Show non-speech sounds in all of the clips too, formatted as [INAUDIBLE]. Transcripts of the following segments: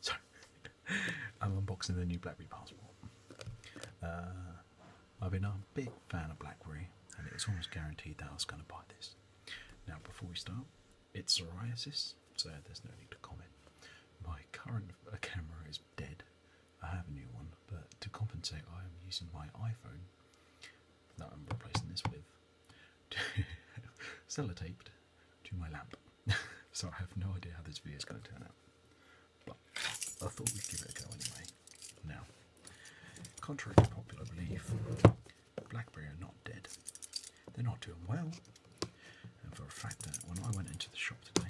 So, [LAUGHS] I'm unboxing the new BlackBerry Passport. Uh, I've been a big fan of BlackBerry, and it was almost guaranteed that I was going to buy this. Now, before we start, it's psoriasis, so there's no need to comment. My current uh, camera is dead. I have a new one, but to compensate, I am using my iPhone that I'm replacing this with [LAUGHS] sellotaped to my lamp. [LAUGHS] so I have no idea how this video is going to turn out. But I thought we'd give it a go anyway. Now, contrary to popular belief, BlackBerry are not dead. They're not doing well. And for a fact that when I went into the shop today,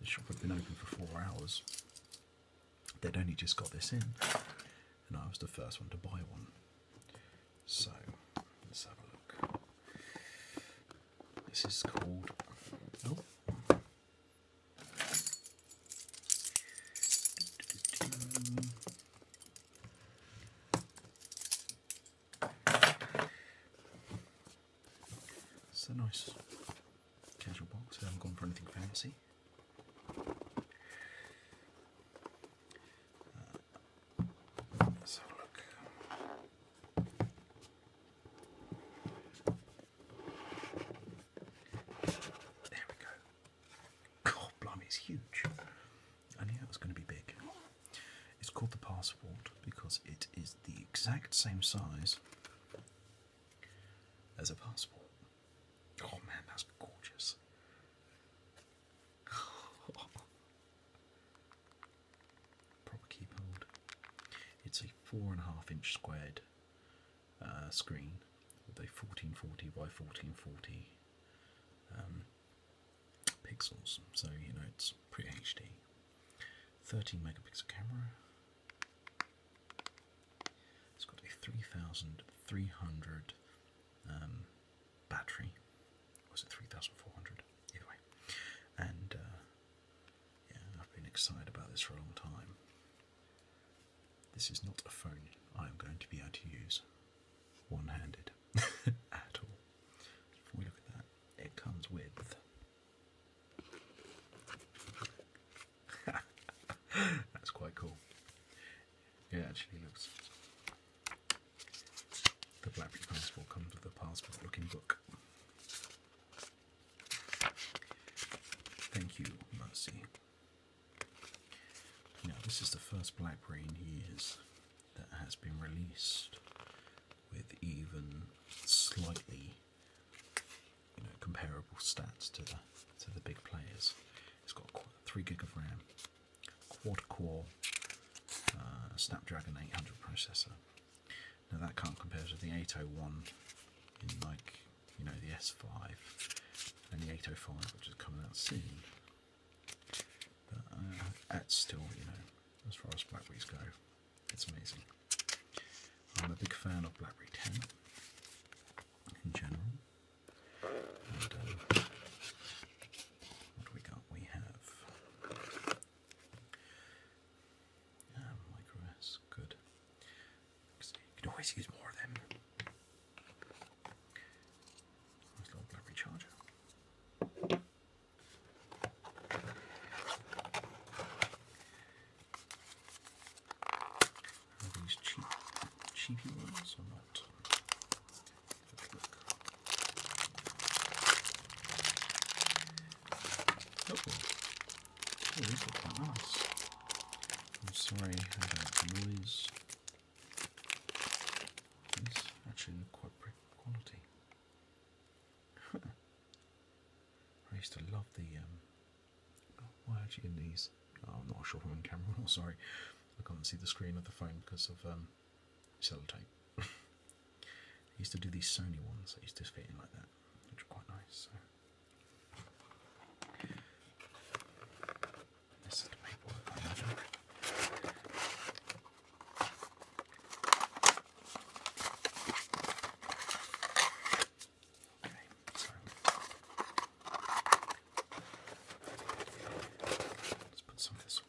the shop had been open for four hours They'd only just got this in, and I was the first one to buy one. So let's have a look. This is called. Oh. It's a nice casual box. I haven't gone for anything fancy. Uh, look. There we go. God, blimey, it's huge. I knew that was going to be big. It's called the Passport because it is the exact same size as a passport. Oh man, that's gorgeous. [LAUGHS] Proper keep hold. It's a four and a half inch squared uh, screen with a 1440 by 1440 um, pixels, so you know it's pretty HD. 13 megapixel camera, it's got a 3,300 um, battery. Was it 3,400? Either And uh, yeah, I've been excited about this for a long time. This is not a phone I am going to be able to use one handed [LAUGHS] at all. If we look at that, it comes with [LAUGHS] That's quite cool. It actually looks. The Blackberry Passport comes with a passport looking book. Thank you, Mercy. Now, this is the first Blackberry in years that has been released with even slightly comparable stats to the, to the big players. It's got three gig of RAM, quad core uh, Snapdragon 800 processor. Now that can't compare to the 801 in like you know the S5 and the 805, which is coming out soon. But that's uh, still you know as far as Blackberries go, it's amazing. I'm a big fan of BlackBerry 10 in general. What we got? We have um, microS, good. you can always use more of them. Nice little battery charger. Are these cheap, cheapy ones or not? Look, these look quite nice. I'm sorry I had noise. These actually look quite pretty quality. I used to love the watching these. Oh, I'm not sure if I'm on camera [LAUGHS] or oh, not, sorry. I can't see the screen of the phone because of um, tape. [LAUGHS] I used to do these Sony ones I used to fit in like that, which are quite nice. This is the paperwork, Let's put some this away.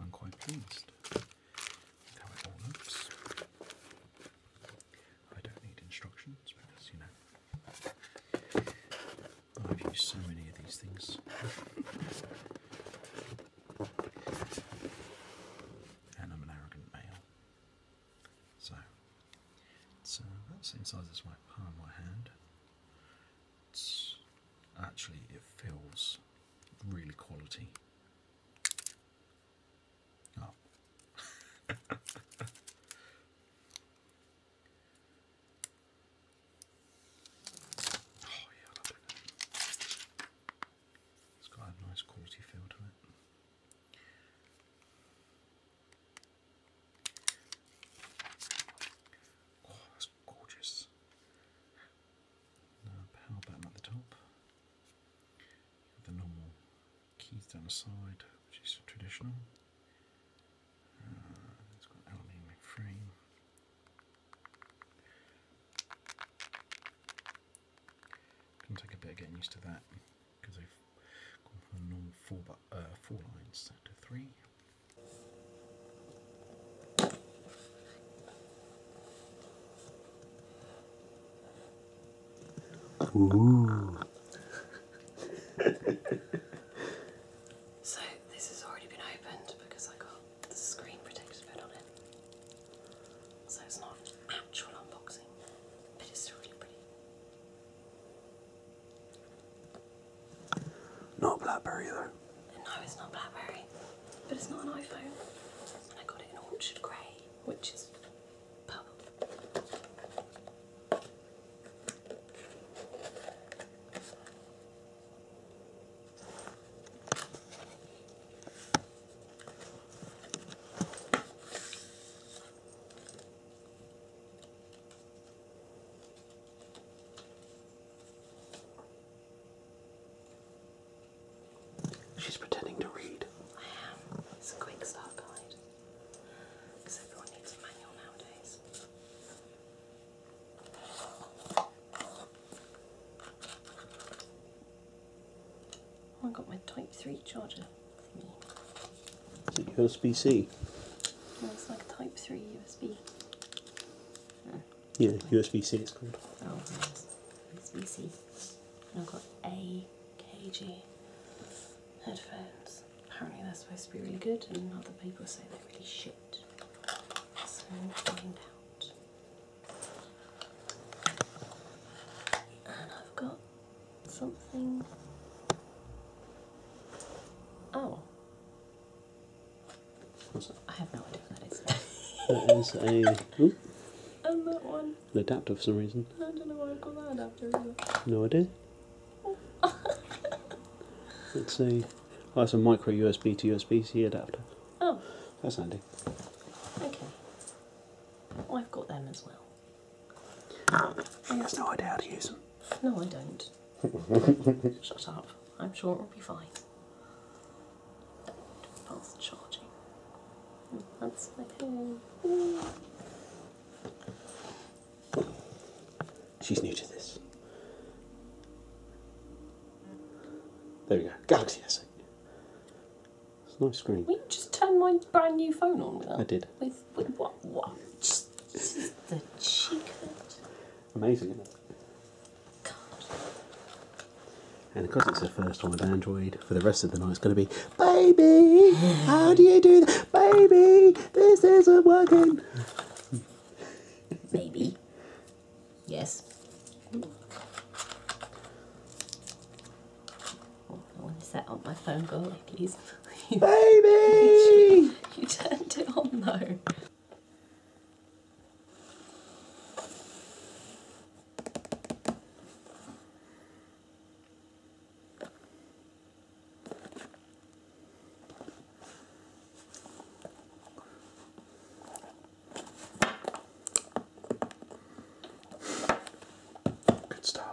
I'm quite pleased with how it all looks. I don't need instructions because, you know, I've used so many of these things. and I'm an arrogant male. So, it's uh, same size as my palm, my hand. actually, it feels really quality. Oh. [LAUGHS] it. has got a nice quality feel to it. Oh, that's gorgeous. power button at the top. The normal keys down the side, which is traditional. Uh, it's got aluminium frame. Gonna take a bit getting used to that because they've gone from normal four, but, uh, four line to three. Ooh. [LAUGHS] so this has already been opened because I got the screen protector bit on it. So it's not actual unboxing, but it's really pretty. Not Blackberry though. No, it's not Blackberry, but it's not an iPhone. I got it in Orchard Grey, which is purple. She's pretending to read. I am. It's a quick start guide. Because everyone needs a manual nowadays. Oh, I got my Type 3 charger Is it USB C? It looks like Type 3 USB. yeah, USB C it's good. Oh, yes. USB ci have got AKG headphones. Apparently they're supposed to be really good, and other people say they're really shit. So find out. And I've got something. Oh. What's that? I have no idea what that is. [LAUGHS] that is a. And that one. An adapter for some reason. I don't know why I got that adapter either. No idea. Oh. it's [LAUGHS] a Oh, it's a micro USB to USB C adapter. Oh. That's handy. Okay. I've got them as well. He has no idea how to use them. No, I don't. [LAUGHS] Shut up. I'm sure it will be fine. Fast charging. Oh, that's my She's new to this. There we go. Galaxy S8. It's a nice screen. Will you just turn my brand new phone on with that? I did. With, what? What? Just, this is the cheek of it. Amazing, isn't it? God. And because it's the first time with Android, for the rest of the night it's going to be, Baby, how do you do Baby, this isn't working. Baby. Yes. Oh, I want to set up my phone goalie, please. [LAUGHS] Baby! you turned it on though. Good start.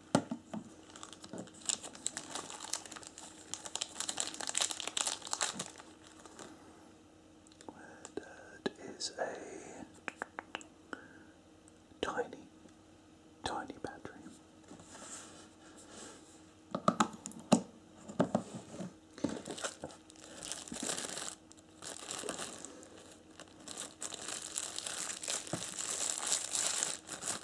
That is a tiny, tiny battery.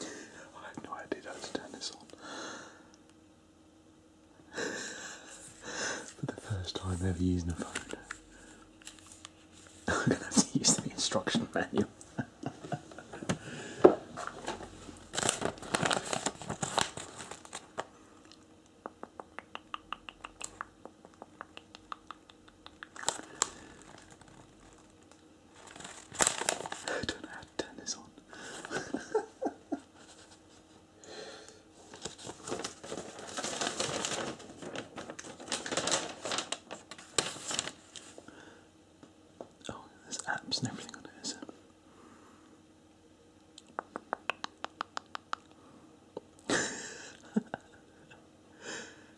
I have no idea how to turn this on. For the first time ever using a phone, I'm gonna have to use the instruction manual. I don't know how to turn this on. oh, there's apps and everything on [LAUGHS]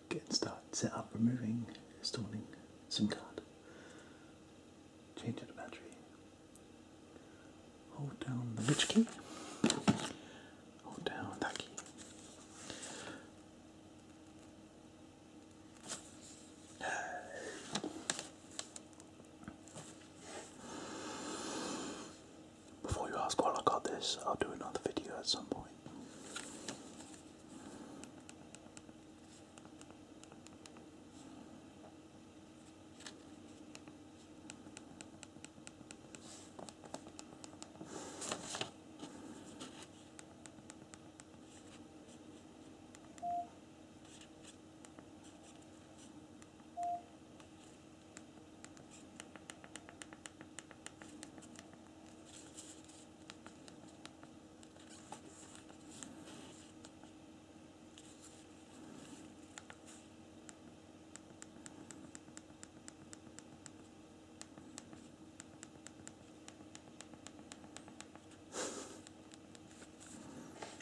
Getting started, set up removing, installing SIM card, changing the battery, hold down the which key, hold down that key. Before you ask, why I got this, I'll do another video at some point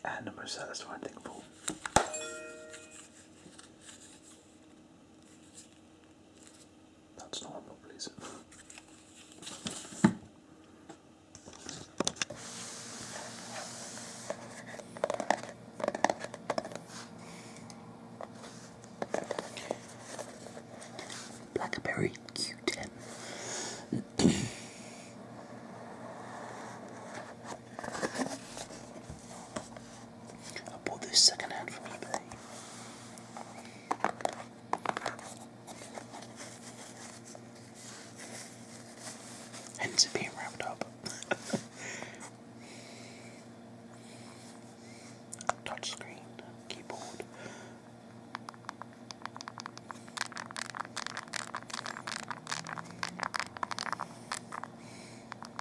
and the most satisfying thing of that's normal, please. Blackberry Q10. I bought this second hand from eBay. Hence it being wrapped up. [LAUGHS] Touchscreen, keyboard. I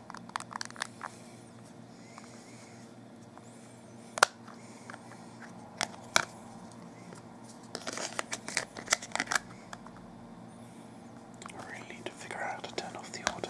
really need to figure out how to turn off the auto.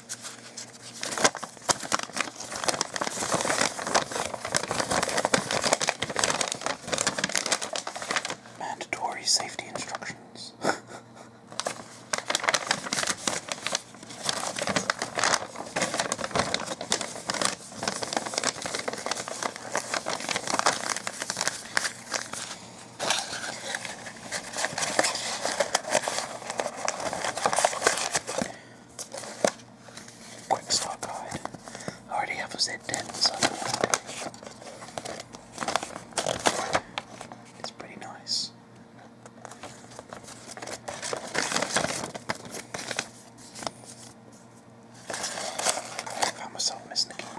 Mandatory safety instructions. [LAUGHS] quick stock guide. I already have was at 10, it's pretty nice. I found myself missing keyboard,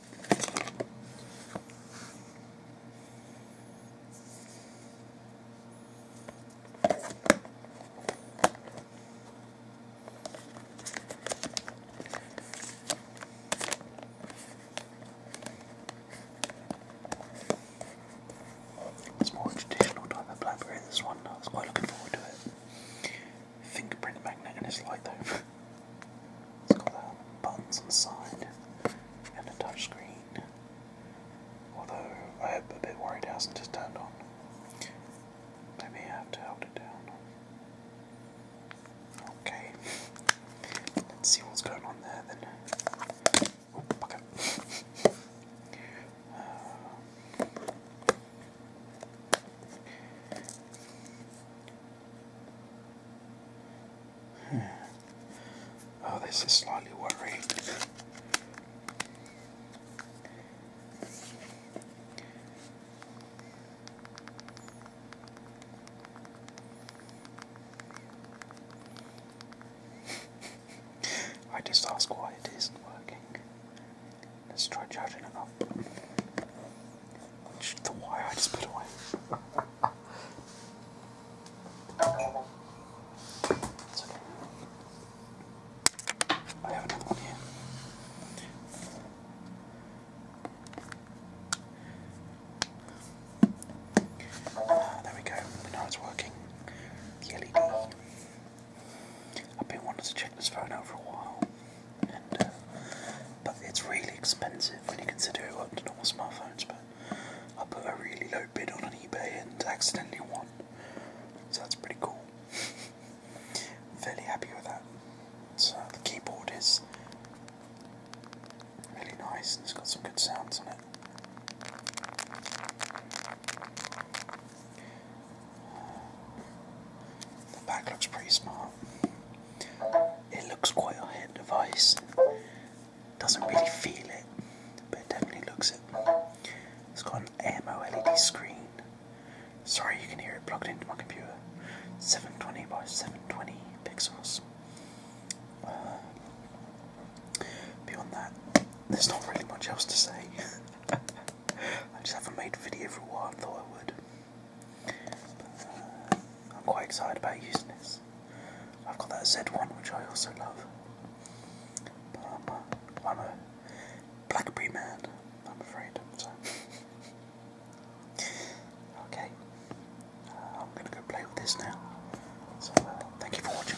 It's more traditional type blackberry this one, I was quite looking forward to it. Fingerprint magnet and it's light though. [LAUGHS] It's got buttons on the side and a touch screen. Although I am a bit worried it hasn't just turned on. Maybe I have to hold it down. Okay. Let's see what's going on there then. Oh, okay. [LAUGHS] Uh, [SIGHS] Oh, this is slightly worrying. [LAUGHS] I just ask why it isn't working. Let's try charging it up the wire I just put away. okay. I have another one here. Uh, there we go. Now it's working. The LED. I've been wanting to check this phone out for a while but it's really expensive when you consider it up to normal smartphones. But I put a really low bid on an eBay and accidentally won, so that's pretty cool. [LAUGHS] Fairly happy with that. So the keyboard is really nice and it's got some good sounds on it. The back looks pretty smart. It looks quite a hit device. Doesn't really feel it, but it definitely looks it. It's got an AMO LED screen. Sorry, you can hear it plugged into my computer. 720 by 720 pixels. Uh, beyond that, there's not really much else to say. [LAUGHS] I just haven't made a video for a while, I thought I would. I'm quite excited about using this. I've got that Z1 which I also love. But I'm a Blackberry man, I'm afraid. [LAUGHS] okay, uh, I'm gonna go play with this now. So uh, thank you for watching.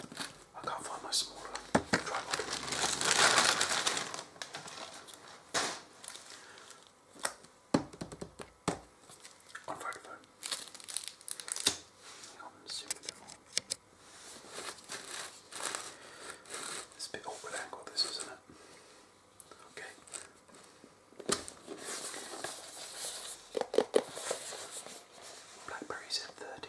I can't find my smaller tripod. On Vodafone. Hang on, zoom a It's a bit awkward angle this, isn't it? Okay. Blackberries at 30.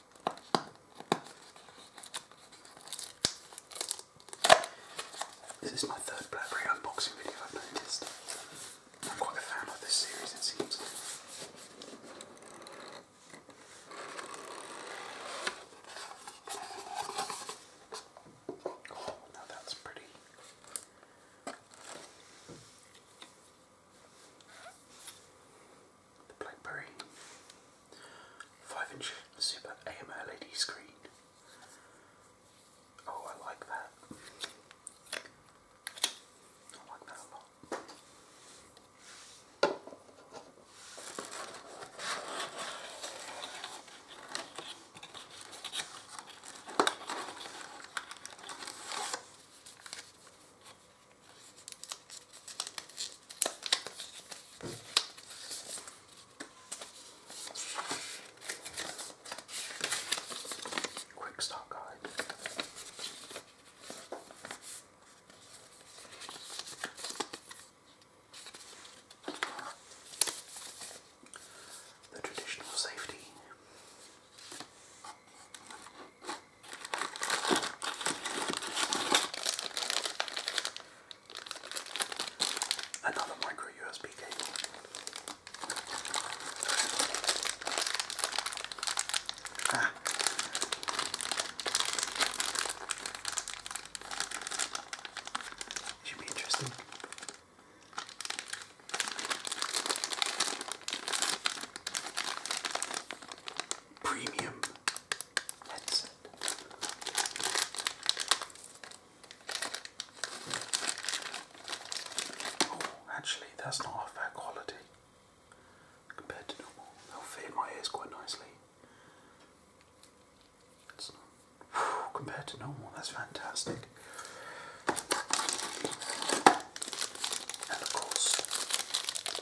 This is my third Blackberry unboxing video I've noticed. I'm quite a fan of this series it seems. Oh, now that's pretty. The BlackBerry 5-inch Super AMOLED screen. Oh, I like that. I like that a lot. Quick stock guide. The traditional safety. Another micro USB cable. Ah. Should be interesting premium That's it. Oh, actually, that's not a fair quality compared to normal. They'll fit my ears quite nicely. compared to normal, that's fantastic. And of course,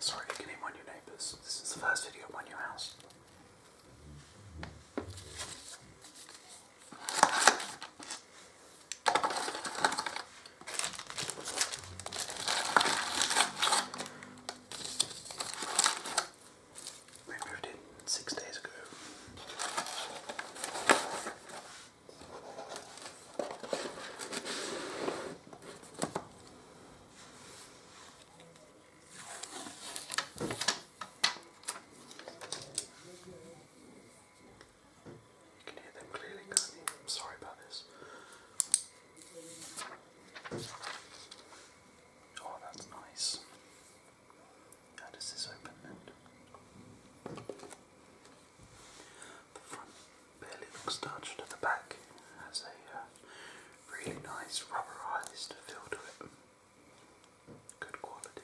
Sorry, you can name on your neighbors. This is the first video on your house. We moved in six days ago. You can hear them clearly, can I'm sorry about this. Oh, that's nice. How does this open then? The front barely looks touched at the back. has a uh, really nice rubberized feel to it. Good quality.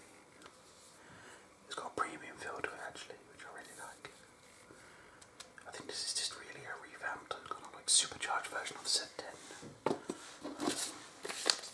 It's got a premium feel to it actually, which I really like. I think this is just really a revamped, kind of like supercharged version of Set 10.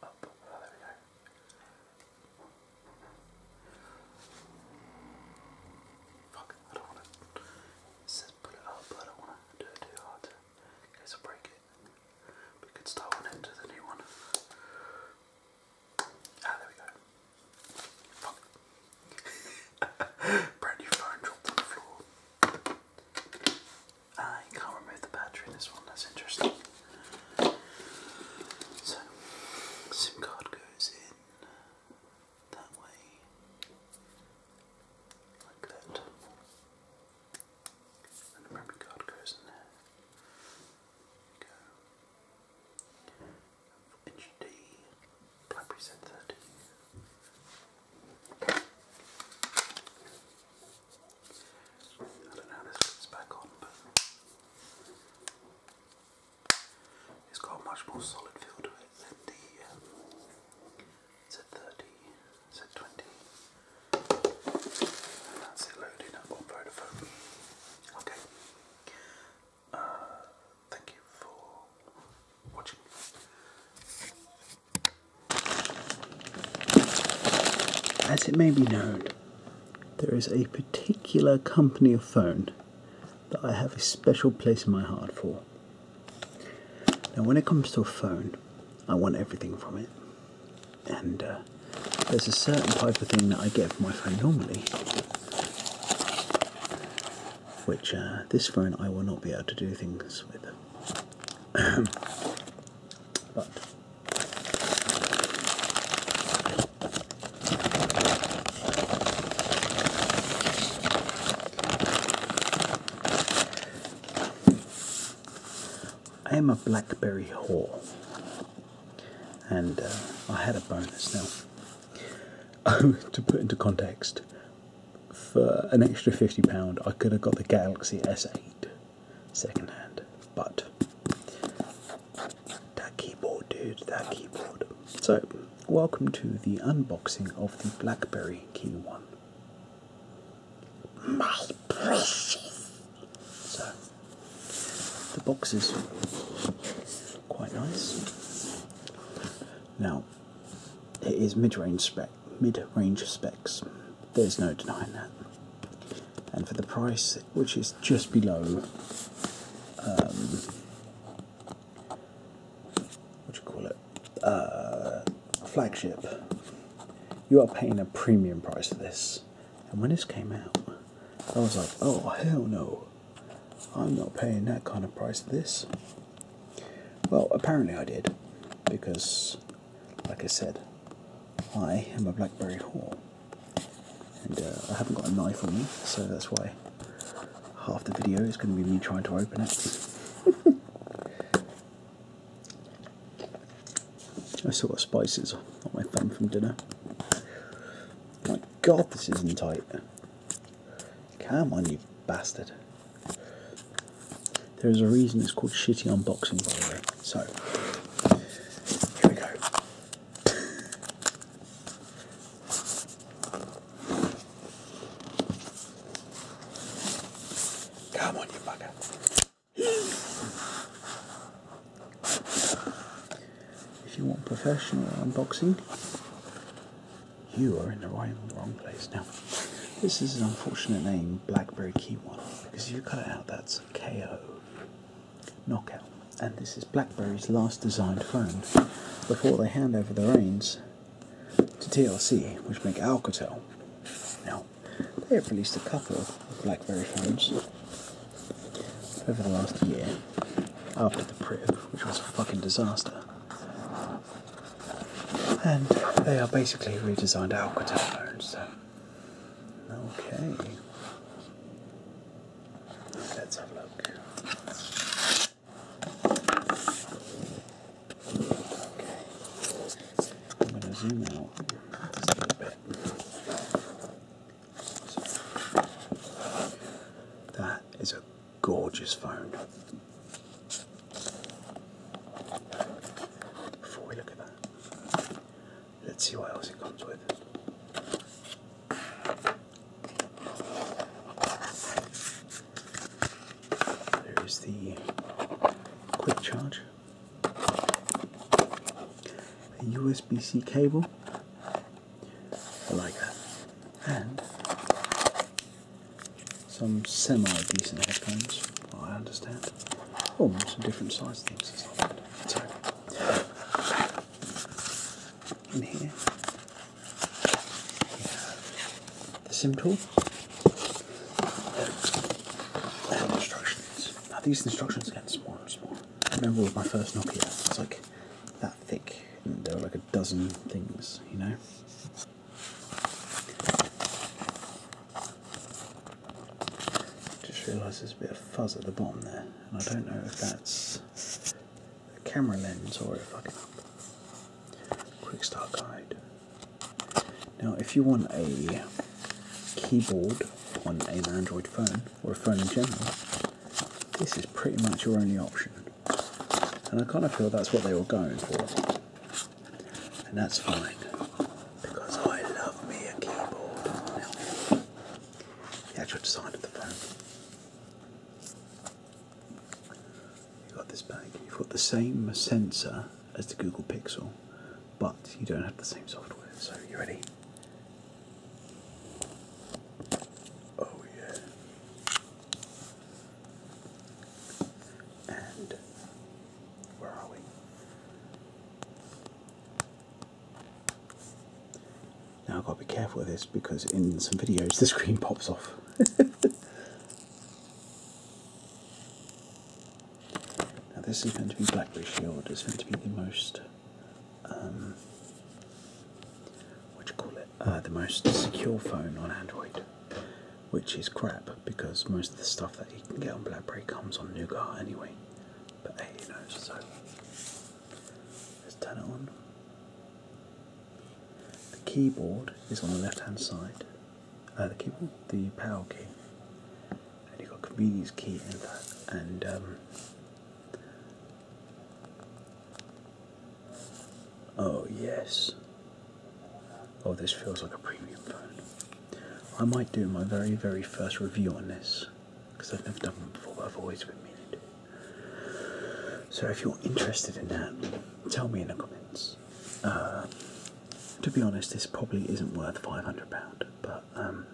Up. Oh, there we go. Fuck, I don't want to. It put it up, but I want to do it too hard in case I break it. We could start one into the new one. Ah, there we go. [LAUGHS] Brand new phone dropped on the floor. I uh, can't remove the battery in this one, that's interesting. So, SIM card goes in that way, like that. And the memory card goes in there. There we go. HD BlackBerry Zen 30. I don't know how this fits back on, but it's got a much more solid feel to it than the Z30, um, Z20. And that's it loading up on Vodafone. Okay, uh, thank you for watching. As it may be known, there is a particular company of phone that I have a special place in my heart for. Now, when it comes to a phone, I want everything from it, and uh, there's a certain type of thing that I get from my phone normally which uh, this phone I will not be able to do things with. [CLEARS THROAT] but I am a blackberry whore, and uh, I had a bonus now. [LAUGHS] to put into context, for an extra £50, I could have got the Galaxy S8 second hand, but that keyboard, dude, that keyboard. So, welcome to the unboxing of the BlackBerry Key One. My precious! So, the box is quite nice. Now, it is mid-range spec, mid-range specs. There's no denying that. And for the price, which is just below, um, what do you call it, uh, flagship, you are paying a premium price for this. And when this came out, I was like, oh hell no, I'm not paying that kind of price for this. Well, apparently I did, because, like I said, I am a blackberry whore. And uh, I haven't got a knife on me, so that's why half the video is going to be me trying to open it. [LAUGHS] I still got spices on my thumb from dinner. My god, this isn't tight. Come on, you bastard. There is a reason it's called shitty unboxing, by the way. So, here we go. Come on, you fucker! if you want professional unboxing, you are in the right, wrong place. Now, this is an unfortunate name, Blackberry Kiwi, because if you cut it out, that's KO. Knockout. And this is BlackBerry's last designed phone before they hand over the reins to TLC, which make Alcatel. Now, they have released a couple of BlackBerry phones over the last year after the Priv, which was a fucking disaster and they are basically redesigned Alcatone. So, okay, let's have a look. Okay, I'm going to zoom out a little bit. that is a gorgeous phone. Before we look at that, let's see what else it comes with. There is the quick charge, a USB C cable, I like that. And some semi-decent headphones, I understand. Oh, some different size things. So, in here, the SIM tool instructions. Now these instructions get smaller and smaller. I remember with my first Nokia, it's like that thick, and they were like dozen things, you know. Just realise there's a bit of fuzz at the bottom there, and I don't know if that's a camera lens or a I quick start guide. Now, if you want a keyboard on an Android phone or a phone in general, this is pretty much your only option. And I kind of feel that's what they were going for. And that's fine. Because I love me a keyboard. the actual design of the phone. You've got this bag. You've got the same sensor as the Google Pixel, but you don't have the same software. So, you ready? Oh, yeah. And where are we? Now I've got to be careful with this because in some videos the screen [LAUGHS] pops off. now this is going to be Blackberry Shield, it's going to be the most um what uh, the most secure phone on Android, which is crap because most of the stuff that you can get on BlackBerry comes on Nougat anyway. But hey, you know, so let's turn it on. The keyboard is on the left-hand side. Uh, the keyboard, the power key, and you got convenience key in that, and um, Oh, yes. Oh, this feels like a premium phone. I might do my very, very first review on this because I've never done one before, but I've always been meaning to. So, if you're interested in that, tell me in the comments. Uh, to be honest, this probably isn't worth £500, but um,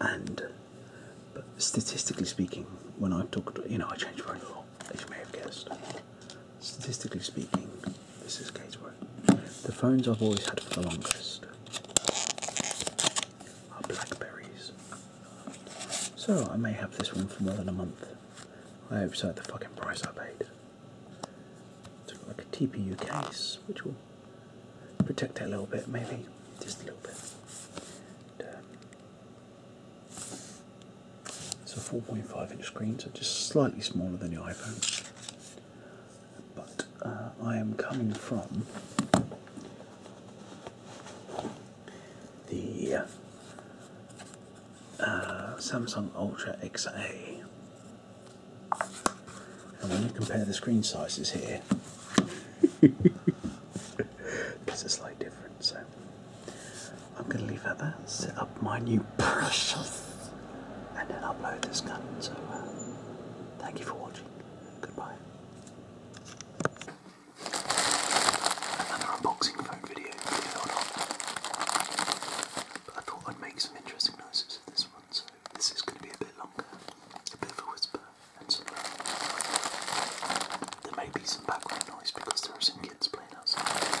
and but statistically speaking, when I've you know, I change phone a lot, as you may have guessed. Statistically speaking, this is Gatesbury. The phones I've always had for the longest are Blackberries. So I may have this one for more than a month. I hope so, the fucking price I paid. it like a TPU case, which will protect it a little bit, maybe. Just a little bit. It's a 4.5 inch screen, so just slightly smaller than your iPhone. But uh, I am coming from the uh, Samsung Ultra XA. And when you compare the screen sizes here, [LAUGHS] it's a slight difference. So I'm going to leave that there, set up my new brushes, and then upload this gun. So uh, thank you for watching. Goodbye. Another unboxing phone video, But I thought I'd make some interesting noises with this one, so this is going to be a bit longer, a bit of a whisper, and some. Uh, there may be some background noise because there are some kids playing outside.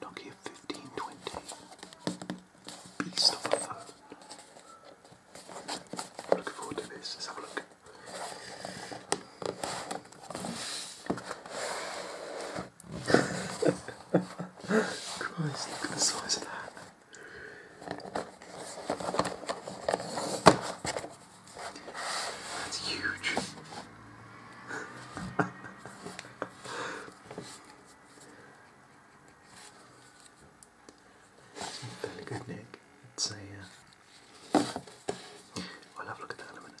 Nokia 1520. Beast of a phone. Looking forward to this. Let's have a look. [LAUGHS] Christ, look at the size of that. That's huge. it's good, Nick. It's a. will uh, have a look at that in a minute.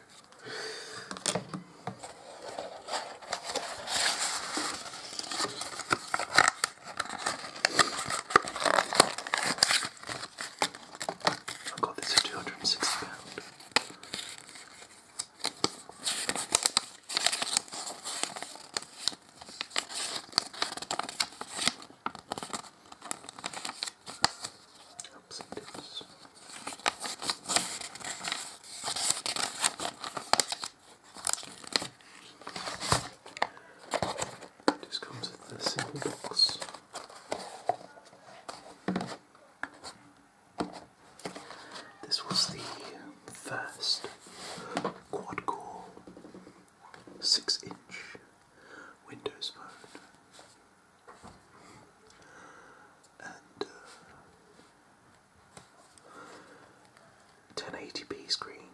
I got this for two hundred and sixty pound. Ups and just comes in a simple box. This was the first quad core six inch Windows phone. And uh, 1080p screen,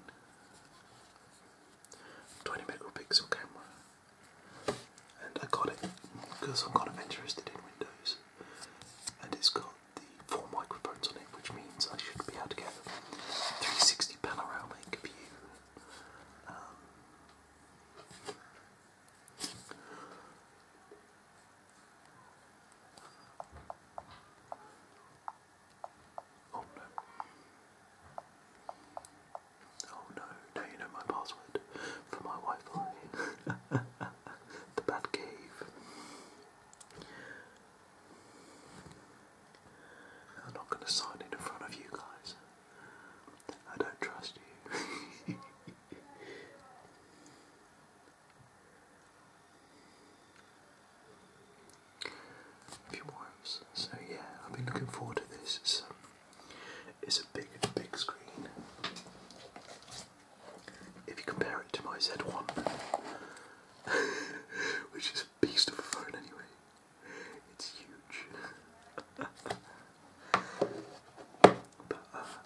20 megapixel camera, and I got it because I'm kind of interested in Windows, and it's got the four microphones on it, which means I should be able to get 360 panoramic view. Um, Oh no. Oh no, now you know my password for my Wi-Fi. [LAUGHS] the Bat Cave. I'm not going to sign in in front of you guys. I don't trust you. [LAUGHS] Dwarves. So yeah, I've been looking forward to this. It's, um, it's a big, big screen. If you compare it to my Z1, [LAUGHS] which is a beast of a phone anyway, it's huge. [LAUGHS] but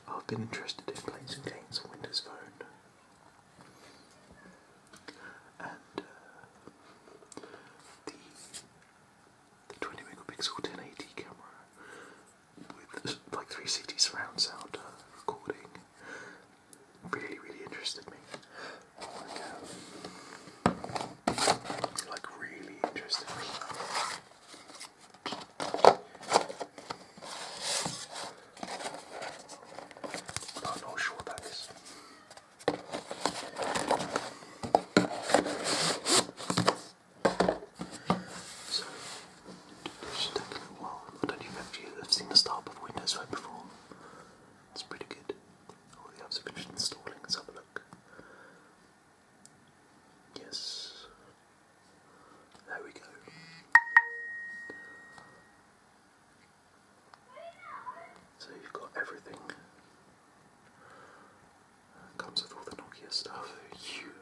I've been interested in playing some games on Windows Phone. And uh, the, the 20 megapixel 1080 camera with like 360 surround sound uh, recording really, really interested me. like um, really interested me. I'm not sure what that is. So, don't even know if you have seen the Star of Windows Phone before. It's pretty good. All the apps have installing. let have a look. Yes, there we go. So you've got everything. comes with all the Nokia stuff. Huge.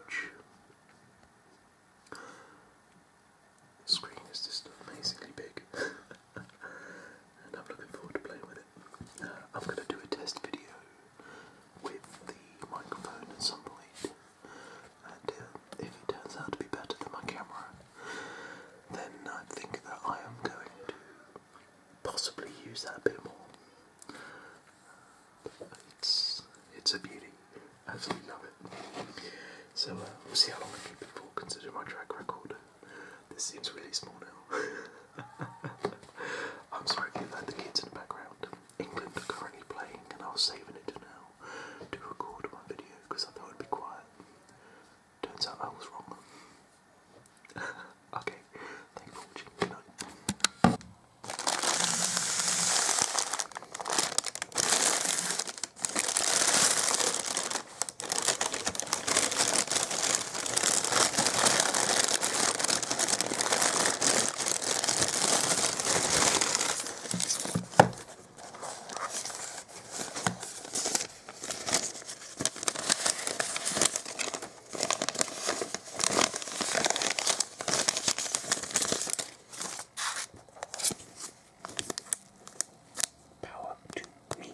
screen is just amazingly big. [LAUGHS] and I'm looking forward to playing with it. Uh, I'm going to do a test video with the microphone at some point. And uh, if it turns out to be better than my camera, then I think that I am going to possibly use that a bit more. It's it's a beauty. Absolutely love it. So uh, we'll see how long I keep it for, considering my track record. This seems really small now. [LAUGHS] I'm sorry if you heard the kids in the background. England are currently playing, and I was saving it to now to record one video because I thought it would be quiet. Turns out I was wrong. [LAUGHS] okay, thank you Power to me.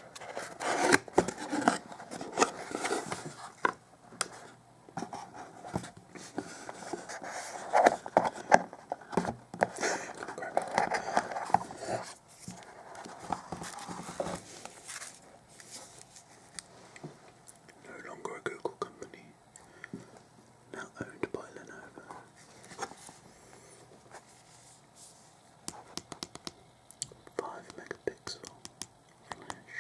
No longer a Google company, now owned by Lenovo. 5 megapixel flash.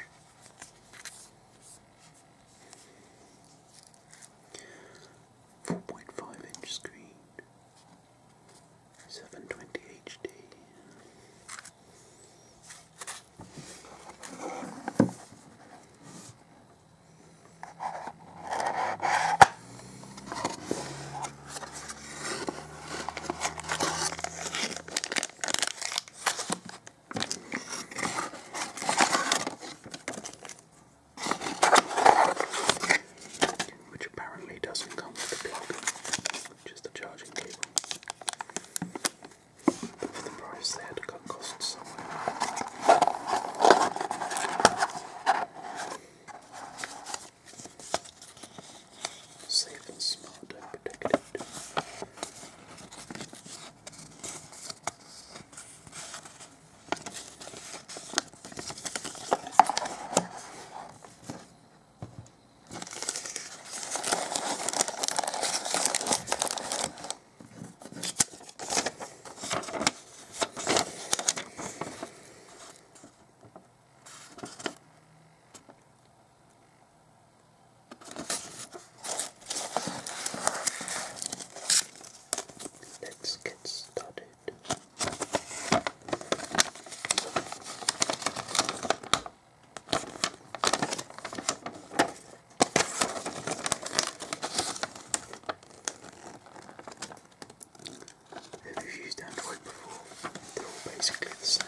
Four point five inch screen, seven twenty HD. Which apparently doesn't come with the plug, just the charging cable. for the price, they had to cut costs somewhere safe and smart and protected. Let's get started. If you used Android before, they're all basically the same.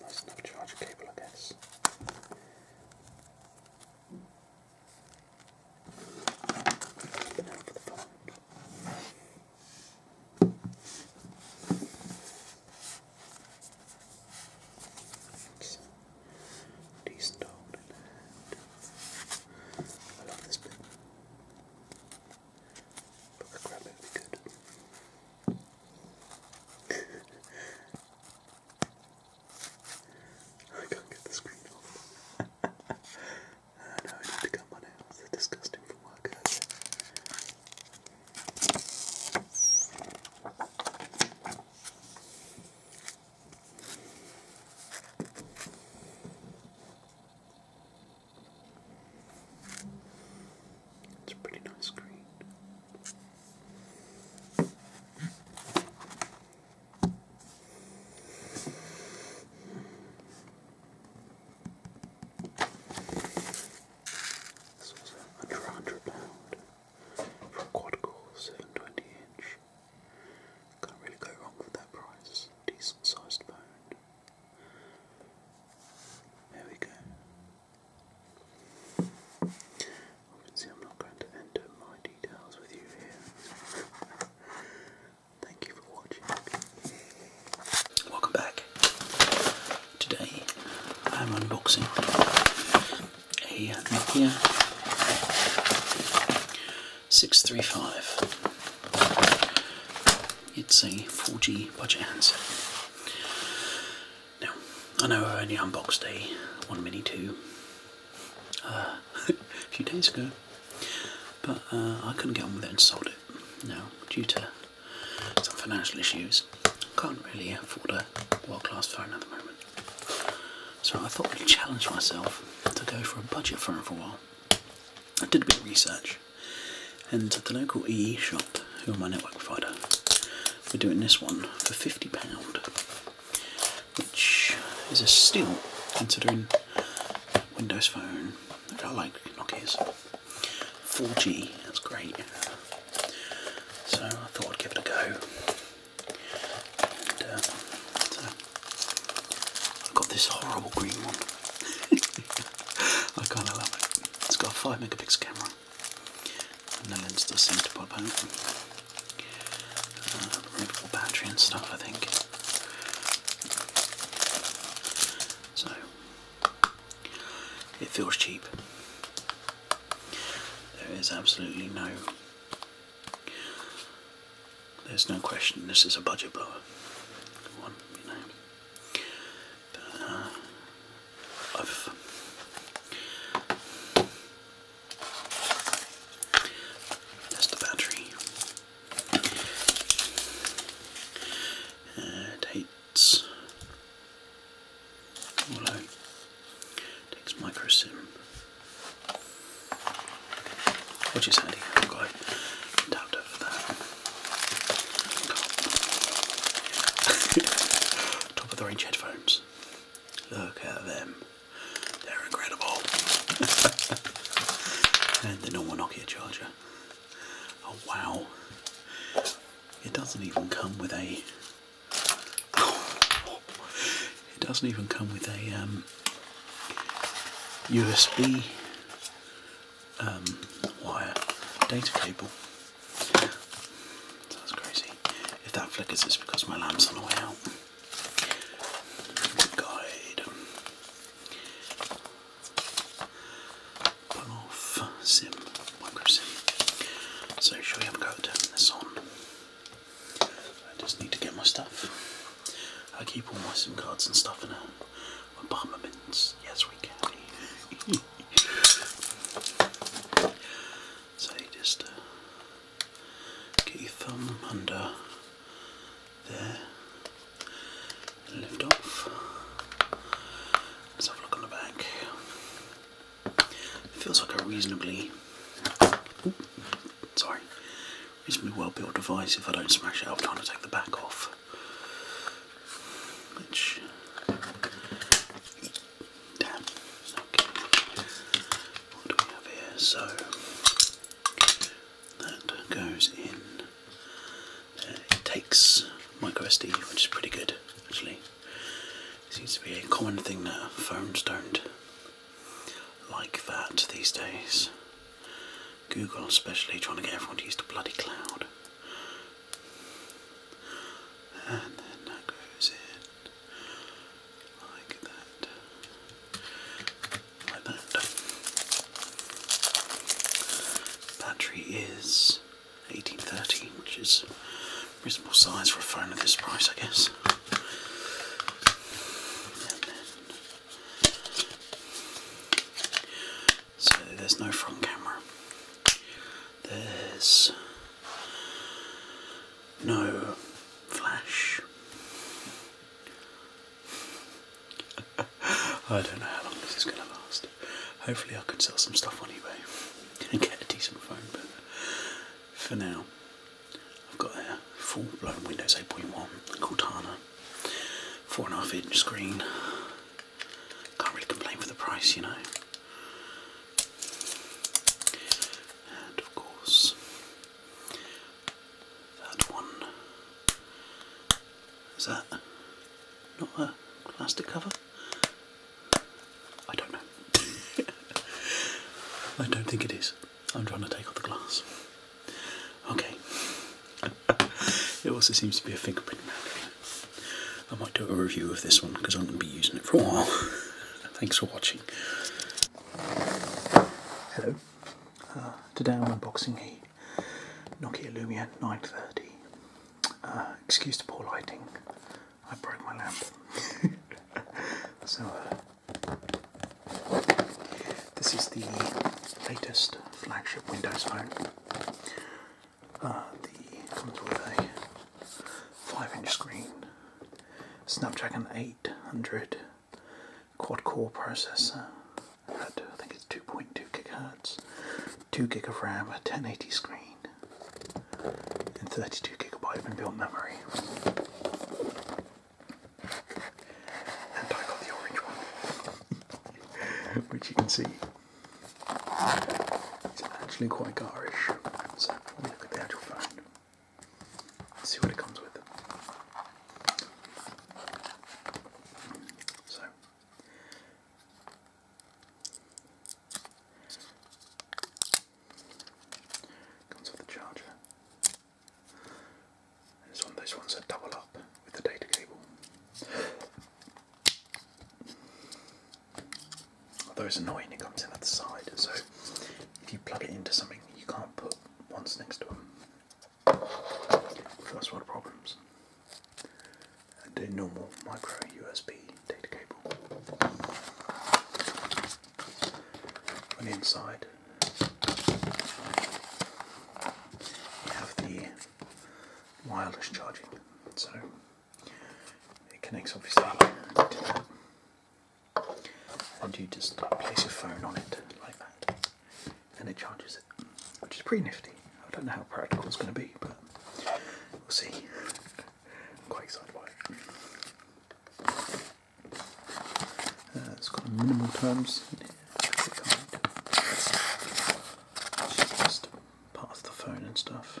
Nice enough charger cable, I guess. Now for the phone. It's decent old I love this bit. But I grab it good. I can't get the screen off. uh, [LAUGHS] no, I need to cut my nails. They're disgusting from work it's a pretty nice screen. This was under hundred pound for a quad core seven twenty inch. Can't really go wrong with that price. Decent sized bone. There we go. I'm not going to enter my details with you here. Thank you for watching. Welcome back. Today, I'm unboxing a Nokia 635. It's a 4G budget handset. Now, I know I only unboxed a One Mini 2 uh, [LAUGHS] a few days ago, but uh, I couldn't get on with it and sold it now due to some financial issues. Can't really afford a world-class phone at the moment. So I thought I'd challenge myself to go for a budget phone for a while. I did a bit of research and the local EE shop, who are my network provider, we're doing this one for £50, which is a steal considering Windows Phone, I like Nokia's. 4G, that's great. So I thought I'd give it a go. Uh, I've got this horrible green one. [LAUGHS] I kind of love it. It's got a 5 megapixel camera. And the lid's still seem to pop open. Uh, removable battery and stuff, I think. So, it feels cheap. There is absolutely no. There's no question this is a budget blower. One, you know. Uh, of that's the battery. Uh, it hates Wallow. Takes microsim. Which is handy, I've got it tapped that. [LAUGHS] top of the range headphones. Look at them. They're incredible. [LAUGHS] and the normal Nokia charger. Oh wow. It doesn't even come with a [LAUGHS] it doesn't even come with a USB um, um, wire data cable. So crazy. If that flickers, it's because my lamp's on the way out. Guide. Pull off sim, micro sim. So, shall we have a go this on? I just need to get my stuff. I keep all my SIM cards and stuff in a apartment. Yes, we can. [LAUGHS] So you just uh, get your thumb under there and lift off. Let's have a look on the back. feels like a reasonably, sorry, reasonably well built device. If I don't smash it, I'm trying to take the back off. Which Damn. What do we have here? So that goes in. Uh, it takes micro SD, which is pretty good actually. It seems to be a common thing now. firms don't like that these days. Google especially trying to get everyone to use the bloody cloud. And then that goes in like that, like that. Battery is 1830, which is reasonable size for a phone at this price, I guess. so there's no front camera there's no flash. [LAUGHS] I don't know how long this is going to last. Hopefully, I can sell some stuff anyway and get a decent phone, but for now, I've got a full blown Windows 8.1 Cortana, 4.5 inch screen. Can't really complain for the price, you know. And of course, that one. Is that not a plastic cover? I don't know. [LAUGHS] I don't think it is. I'm trying to take off the glass. Okay. [LAUGHS] it also seems to be a fingerprint I might do a review of this one because I'm going to be using it for a while. [LAUGHS] Thanks for watching. Hello. Uh, today I'm unboxing a Nokia Lumia 930. Uh, excuse the poor lighting. I broke my lamp. [LAUGHS] so, uh, this is the latest flagship Windows phone. the comes with a 5 inch screen, Snapdragon 800 quad core processor at I think it's 2.2 gigahertz, 2 gig of RAM, a 1080 screen, and 32 gigabyte of inbuilt memory. And I got the orange one, [LAUGHS] which you can see it's actually quite garish me look at the actual phone. See what it comes with. So comes with the charger. it's one of those ones that double up with the data cable. Although it's annoying, it comes in at the side, so if you plug it into something, you can't put ones next to them. First the problems. And a normal micro USB data cable. On the inside, you have the wireless charging, so it connects obviously to that. And you just place your phone on it like that. And it charges it. Which is pretty nifty. I don't know how practical it's going to be, but we'll see. quite excited by it. Uh, it's got minimal terms in it. just part of the phone and stuff.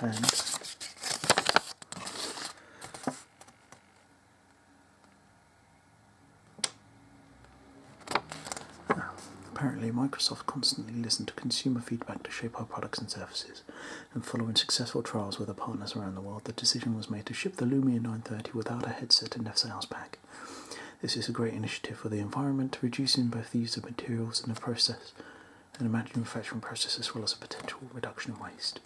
and Apparently, Microsoft constantly listen to consumer feedback to shape our products and services, and following successful trials with our partners around the world, the decision was made to ship the Lumia 930 without a headset and a sales pack. This is a great initiative for the environment, reducing both the use of materials and the process and a manufacturing process as well as a potential reduction in waste.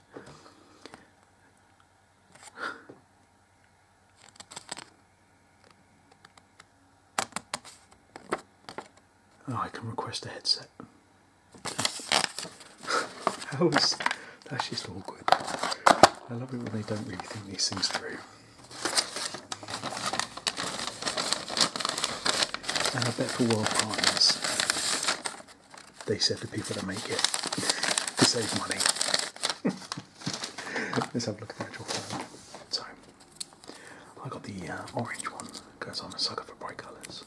Oh, I can request a headset. that's just awkward. I love it when they don't really think these things through. And I bet for World Partners, they said to people that make it to save money. [LAUGHS] Let's have a look at the actual phone. So, I got the uh, orange one because I'm a sucker for bright colours.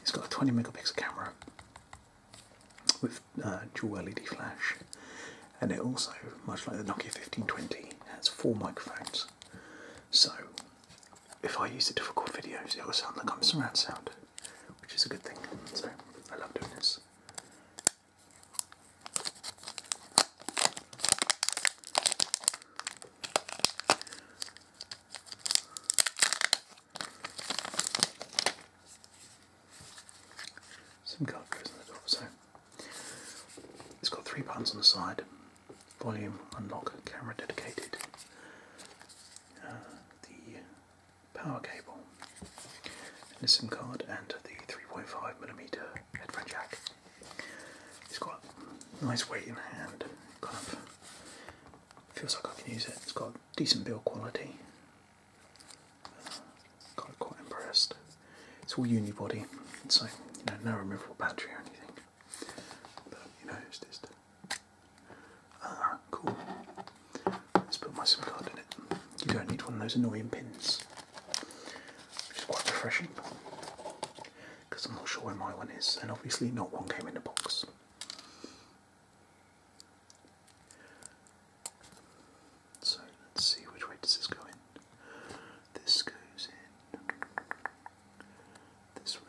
It's got a 20 megapixel camera with uh, dual LED flash, and it also, much like the Nokia 1520, has four microphones. So, if I use it to record videos, it will sound like I'm surround sound, which is a good thing. So, I love doing this. Some card goes in the door, so it's got three buttons on the side volume, unlock, camera dedicated, uh, the power cable, the SIM card, and the 3.5mm headphone jack. It's got nice weight in hand, kind of feels like I can use it. It's got decent build quality. got uh, quite impressed. It's all unibody, so no removable battery or anything you uh, cool. Let's put my SIM card in it. You don't need one of those annoying pins, which is quite refreshing because I'm not sure where my one is, and obviously, not one came in the box. So let's see which way this go in. This goes in this way.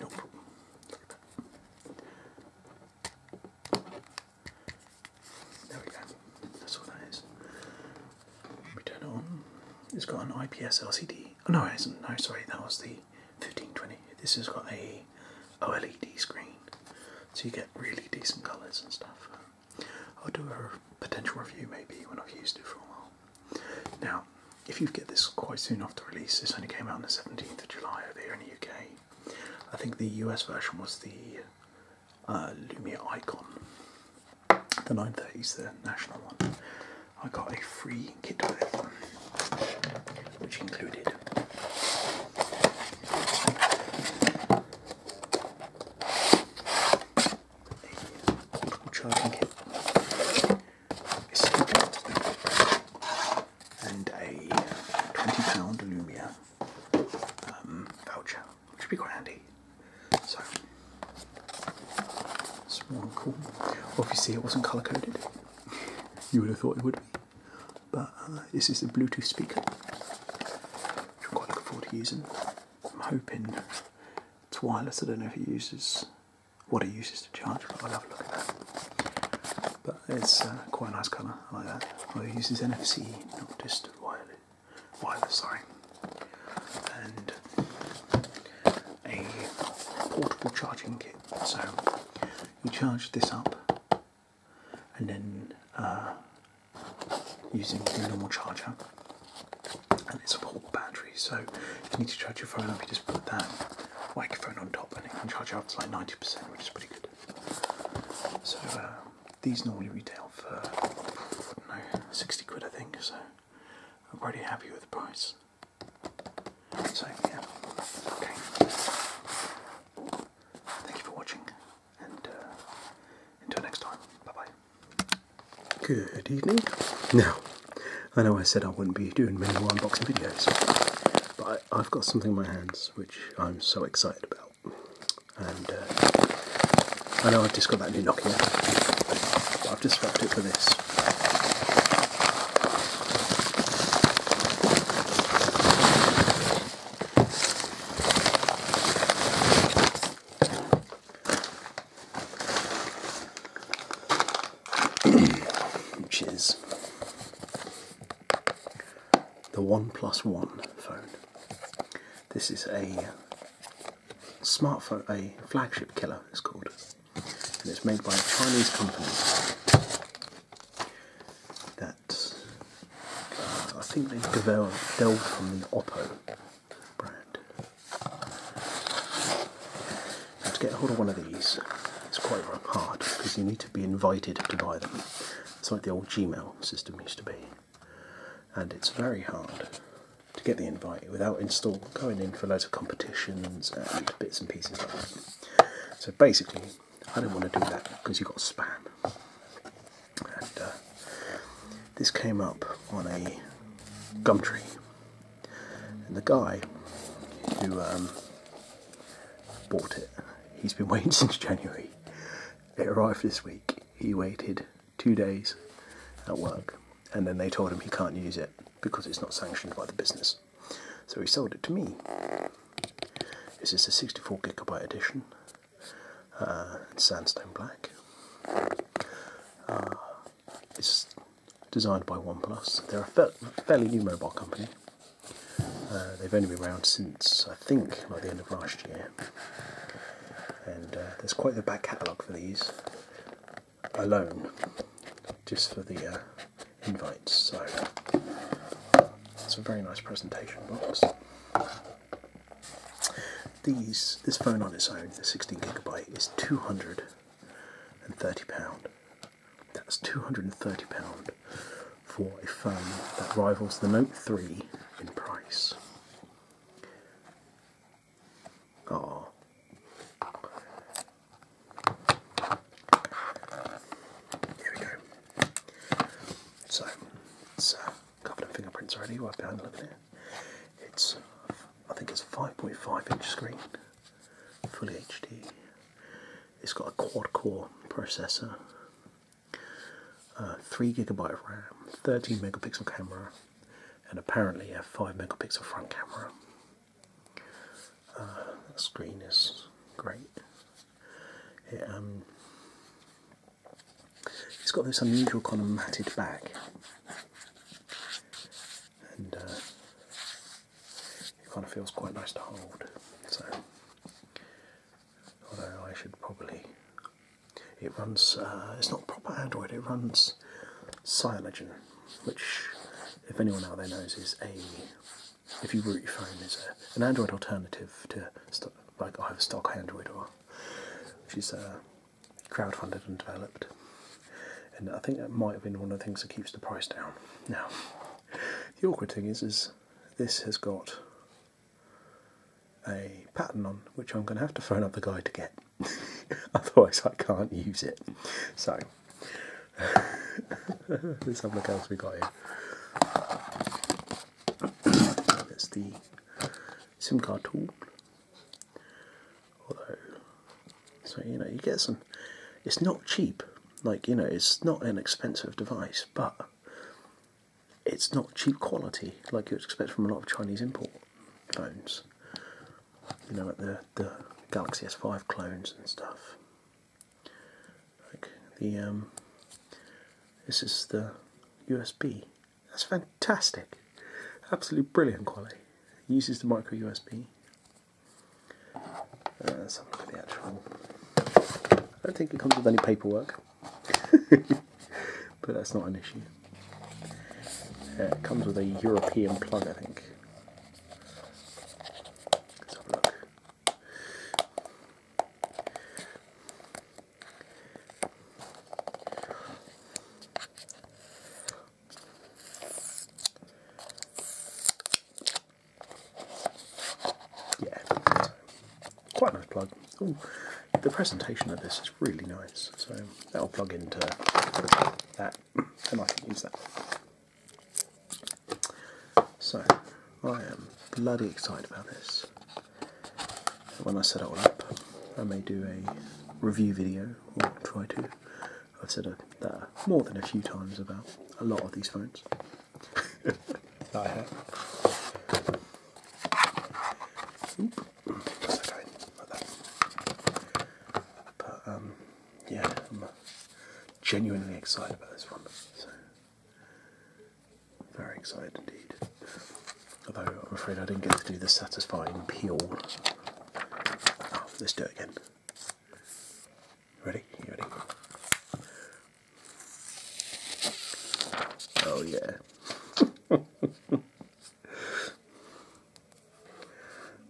No problem. There we go. That's all that is. We turn it on. It's got an IPS LCD. Oh, no, it isn't. No, sorry, that was the 1520. This has got a OLED screen, so you get really decent colours and stuff. I'll do a potential review maybe when I've used it for a while. Now, if you get this quite soon after release, this only came out on the 17th of July over here in the UK. I think the US version was the uh, Lumia Icon, the is the national one. I got a free kit with, which included a portable charging kit, and a £20 Lumia um, voucher, which would be quite handy. So, it's more cool. you see it wasn't colour coded. [LAUGHS] You would have thought it would but uh, this is the Bluetooth speaker, which I'm quite looking forward to using. I'm hoping it's wireless. I don't know if it uses what it uses to charge, but I'll have a look at that. But it's uh, quite a nice colour. I like that. Well, oh, it uses NFC, not just wireless. Wireless, sorry. And a portable charging kit. So you charge this up and then uh, using the normal charger and it's a portable battery so if you need to charge your phone up you just put that microphone on top and it can charge up to like 90% which is pretty good so uh, these normally retail for I don't know, 60 quid I think so I'm pretty happy with the price so yeah, okay. Thank you for watching, and uh, until next time, bye bye. Good evening. Now, I know I said I wouldn't be doing many more unboxing videos, but I, have got something in my hands which I'm so excited about, and uh, I know I've just got that new Nokia, I've just wrapped it for this which is the One Plus One phone. This is a smartphone, a flagship killer, it's called, and it's made by a Chinese company that uh, I think they developed, delved from the Oppo brand. to get hold of one of these, it's quite hard because you need to be invited to buy them. It's like the old Gmail system used to be, and it's very hard to get the invite without install going in for loads of competitions and bits and pieces So basically, I don't want to do that because you've got spam. And uh, this came up on a gum tree, and the guy who um, bought it, he's been [LAUGHS] waiting since January. It arrived this week. He waited two days at work, and then they told him he can't use it because it's not sanctioned by the business. So he sold it to me. This is a 64 gigabyte edition. Uh, sandstone black. Uh, it's designed by OnePlus. They're a fairly new mobile company. Uh, they've only been around since I think like the end of last year. And there's quite the back catalogue for these alone, just for the invites. So um, it's a very nice presentation box. These, this phone on its own, the 16 gigabyte, is 230 pound. That's 230 pound for a phone that rivals the Note 3 in price. Ah, there we go. So, it's uh, covered in fingerprints already, right behind the lip there. It's, I think it's a 5.5 inch screen, fully HD. It's got a quad core processor, uh, 3 gigabyte of RAM, 13 megapixel camera, and apparently a 5 megapixel front camera. Uh, the screen is great. It, has um, got this unusual kind of matted back, and uh, it kind of feels quite nice to hold. So, although I should probably, it runs. Uh, it's not proper Android. It runs Cyanogen, which, if anyone out there knows, is a if you root your phone, there's an Android alternative to stock, like either stock Android or which is uh, crowdfunded and developed. And I think that might have been one of the things that keeps the price down. Now, the awkward thing is, is this has got a pattern on which I'm going to have to phone up the guy to get. [LAUGHS] Otherwise, I can't use it. So, let's have a look else we got here. That's the SIM card tool. so you know, you get some. It's not cheap. Like you know, it's not an expensive device, but it's not cheap quality like you'd expect from a lot of Chinese import phones. You know, like the the Galaxy S5 clones and stuff. Like the um, this is the USB. That's fantastic. Absolutely brilliant quality. It uses the micro USB. Uh, let's have a look at the actual. I don't think it comes with any paperwork, [LAUGHS] but that's not an issue. Uh, it comes with a European plug, I think. Let's have a look. Yeah, quite a nice plug. the presentation of this is really nice, so that'll plug into that, and I can use that. So, I am bloody excited about this. When I set all up, I may do a review video, or try to. I've said that more than a few times about a lot of these phones. [LAUGHS] I have. But, um, yeah, I'm genuinely excited about this one. So. Very excited indeed. Although I'm afraid I didn't get to do the satisfying peel. Oh, let's do it again. Ready? You ready? Oh yeah. [LAUGHS]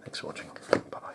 Thanks for watching. bye.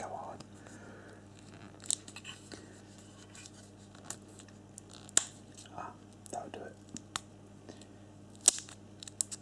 Come on. Ah, that'll do it.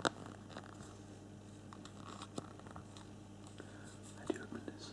I do admit this.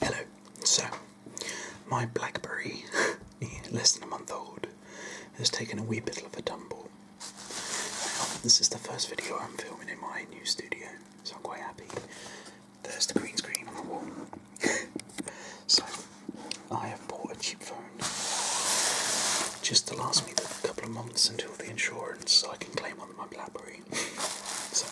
Hello, so my Blackberry, [LAUGHS] less than a month old, has taken a wee bit of a tumble. this is the first video I'm filming in my new studio, so I'm quite happy. There's the green screen on the wall. [LAUGHS] so, I have bought a cheap phone just to last me a couple of months until the insurance so I can claim on my Blackberry. [LAUGHS] so,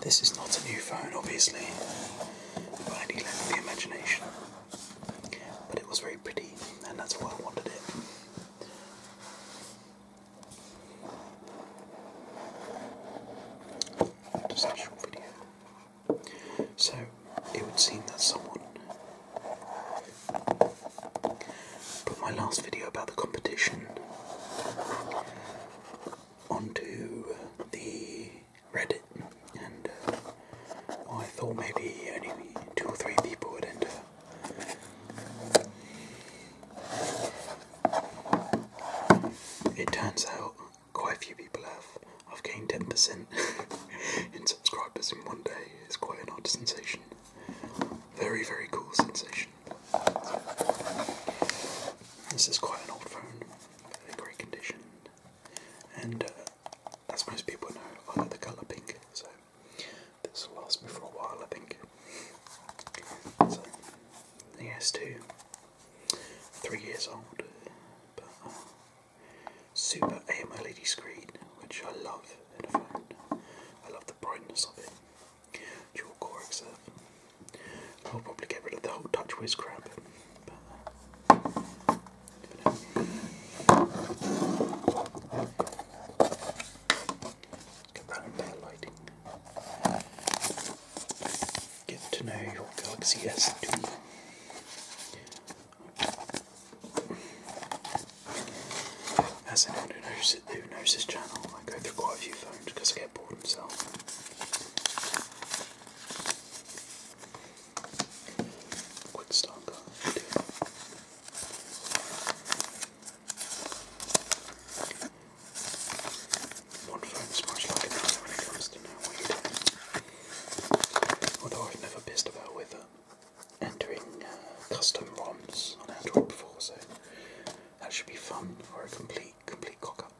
this is not a new phone, obviously, by any length imagination, but it was very pretty, and that's why I wanted it. Just a video. So it would seem that someone Put my last video about the competition onto the Reddit, and uh, I thought maybe only two or three people would enter. It turns out quite a few people have. I've gained 10% [LAUGHS] in subscribers in one day. It's quite an odd sensation. Very, very cool sensation. This is quite an old phone, in great condition, and uh, as most people know, I like the colour pink, so this will last me for a while, I think. So, the S2, three years old, but uh, super AMOLED screen, which I love in a phone. I love the brightness of it. Dual core XF. I'll probably get rid of the whole touch whiz crap. Get that better lighting. Get to know your Galaxy S2. As anyone who knows, who knows this channel, I go through quite a few phones because I get bored myself. Quick start One phone's much like another when it Although I've never pissed about with it entering uh, custom ROMs on Android before, so that should be fun or a complete complete cock up.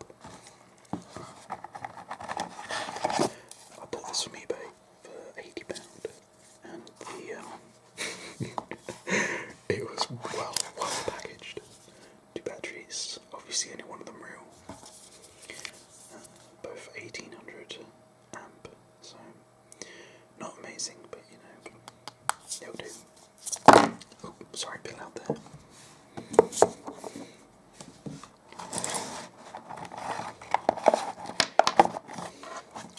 I bought this from eBay for eighty pound, and the um, [LAUGHS] it was well well packaged. Two batteries, obviously any one of them real. Uh, both eighteen hundred amp, so not amazing, but you know, it'll do. Oh, sorry, Bill out there.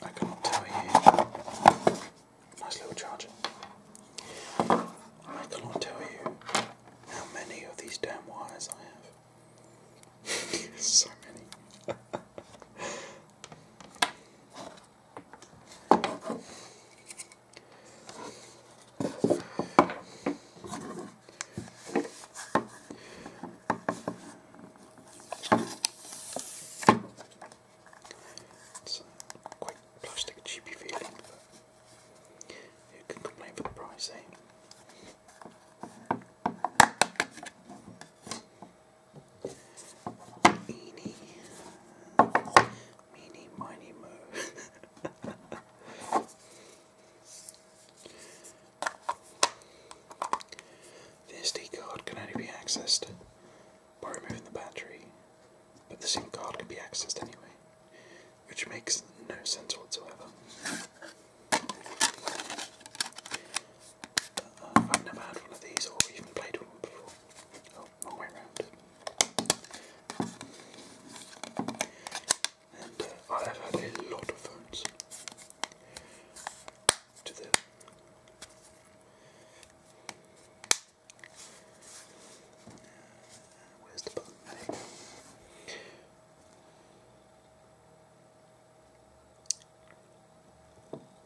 I could tell you. Nice little charger. I cannot tell you how many of these damn wires I have. [LAUGHS] so many. [LAUGHS] It's quite plastic cheapy feeling, but you can complain for the price, eh? Meanie. Meanie, miny, [LAUGHS] the SD card can only be accessed by removing the battery, but the SIM card can be accessed anyway, which makes no sense whatsoever. I've never had one of these or even played with one before. Oh, wrong way round. And uh, I have had a lot of phones to the Where's the button?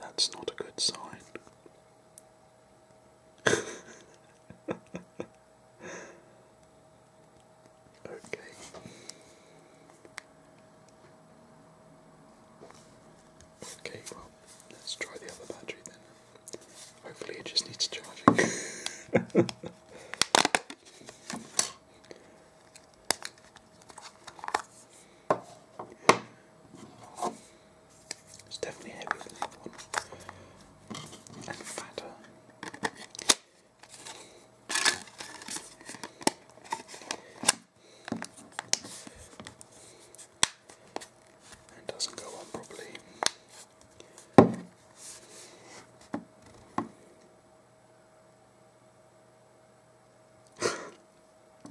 That's not a good sign. okay. Okay, well, let's try the other battery then. Hopefully, it just needs charging. [LAUGHS] It's definitely heavier And fatter. And doesn't go on properly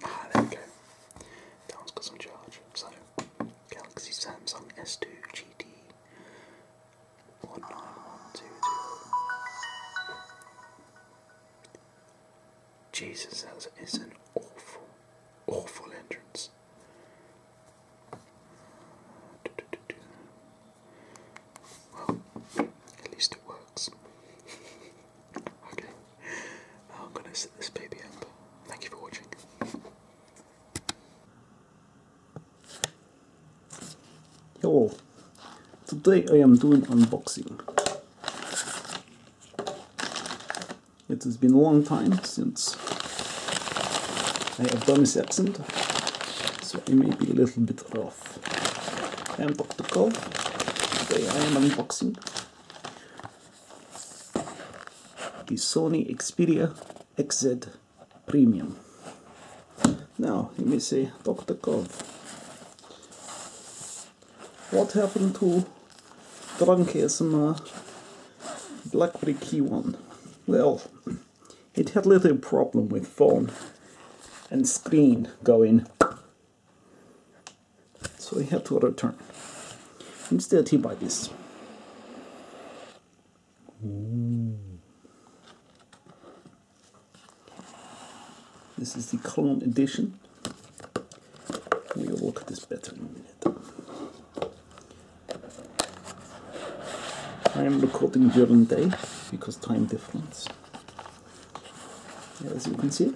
ah, there we go. That one's got some charge. So, Galaxy Samsung S2 GT Jesus, that is an awful, awful entrance. at least it works. [LAUGHS] okay, I'm gonna set this baby up. Thank you for watching. Yo, today I am doing unboxing. It has been a long time since I have done this accent, so I may be a little bit rough. I am Dr. Cole. Today I am unboxing the Sony Xperia XZ Premium. Now, let me say, Dr. Cove, what happened to Drunkism black BlackBerry 1? Well, it had little problem with phone and screen going so I have to return. Instead, he buy this. by This This is the clone edition. We'll look at this better in a minute. I am recording during day because time difference as you can see.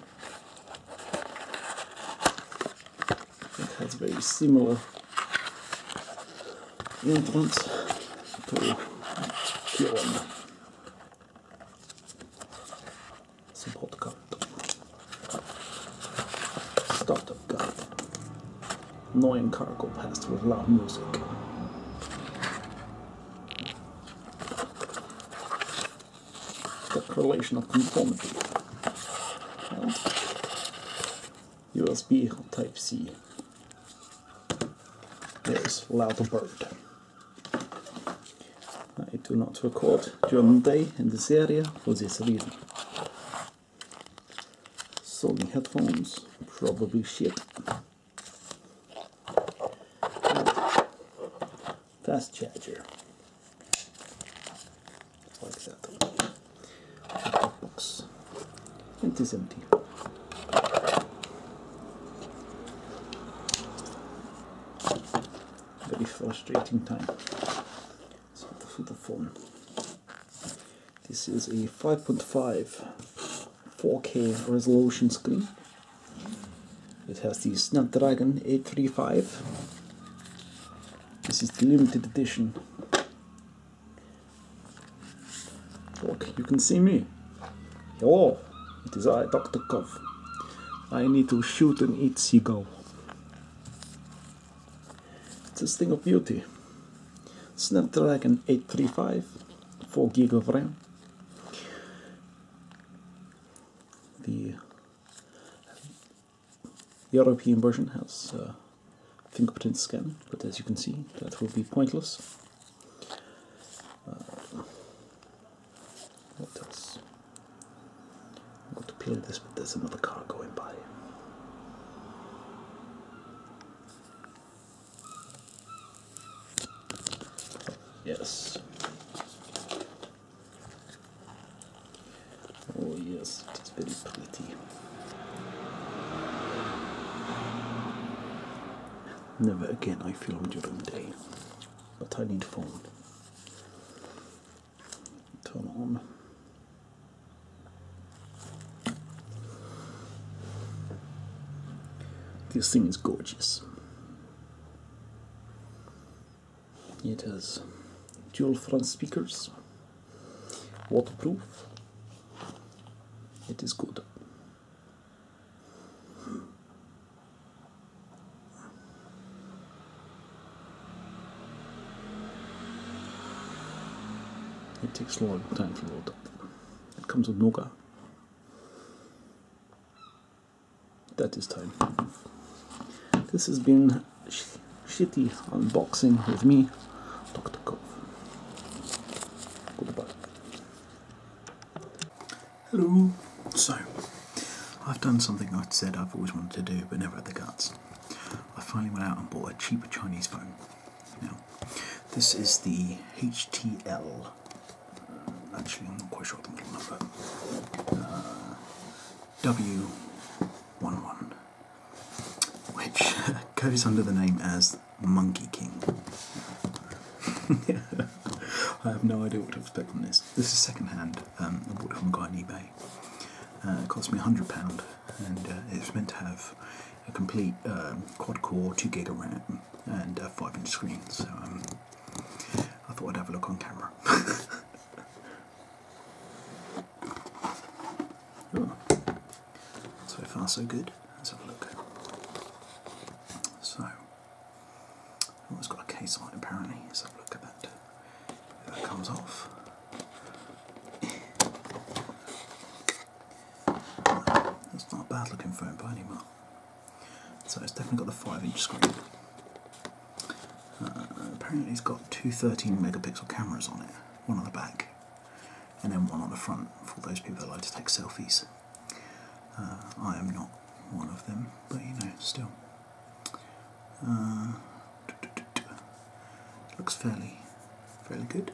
It has very similar entrance to Kiron. Support card. Startup card. Annoying go past with loud music the correlation of conformity. USB Type-C is bird. I do not record during the day in this area for this reason. Sony headphones, probably shit fast charger. Like that. box. It is empty. Very frustrating time. So the, phone. This is a 5.5 4K resolution screen it has the Snapdragon 835. This is the limited edition. Look, you can see me. Hello, it is I, Dr. Kov. I need to shoot and eat seagull. It's a thing of beauty. Snapdragon 835, 4 gig of RAM. The the European version has uh, fingerprint scan, but as you can see, that will be pointless. Uh, what else? I'm going to play this, but there's another car going by. Yes. Oh yes, it is very pretty. Never again I film during the day, but I need phone. Turn on. This thing is gorgeous. It has dual front speakers, waterproof. It is good. It takes a long time to load It comes with Nokia that is time. This has been shitty unboxing with me, Dr. Cove. Hello. So, I've done something I have said I've always wanted to do but never had the guts. I finally went out and bought a cheaper Chinese phone. Now, this is the HTL. Actually, I'm not quite sure of the model number. Uh, W11, which [LAUGHS] goes under the name as Monkey King. [LAUGHS] I have no idea what to expect from this. This is secondhand. Um, I bought it from a guy on eBay. Uh, it cost me £100 and uh, it's meant to have a complete um, quad core, 2 gig of RAM, and a uh, 5 inch screen. So um, I thought I'd have a look on camera. [LAUGHS] Ooh. So far, so good. Let's have a look. So, oh, it's got a case on it apparently. Let's have a look at that. that comes off. It's not a bad looking phone by any mark. So it's definitely got the 5 inch screen. Uh, apparently, it's got two 13 megapixel cameras on it one on the back and then one on the front for those people that like to take selfies. Uh, I am not one of them, but you know, still. Uh, looks fairly, fairly good.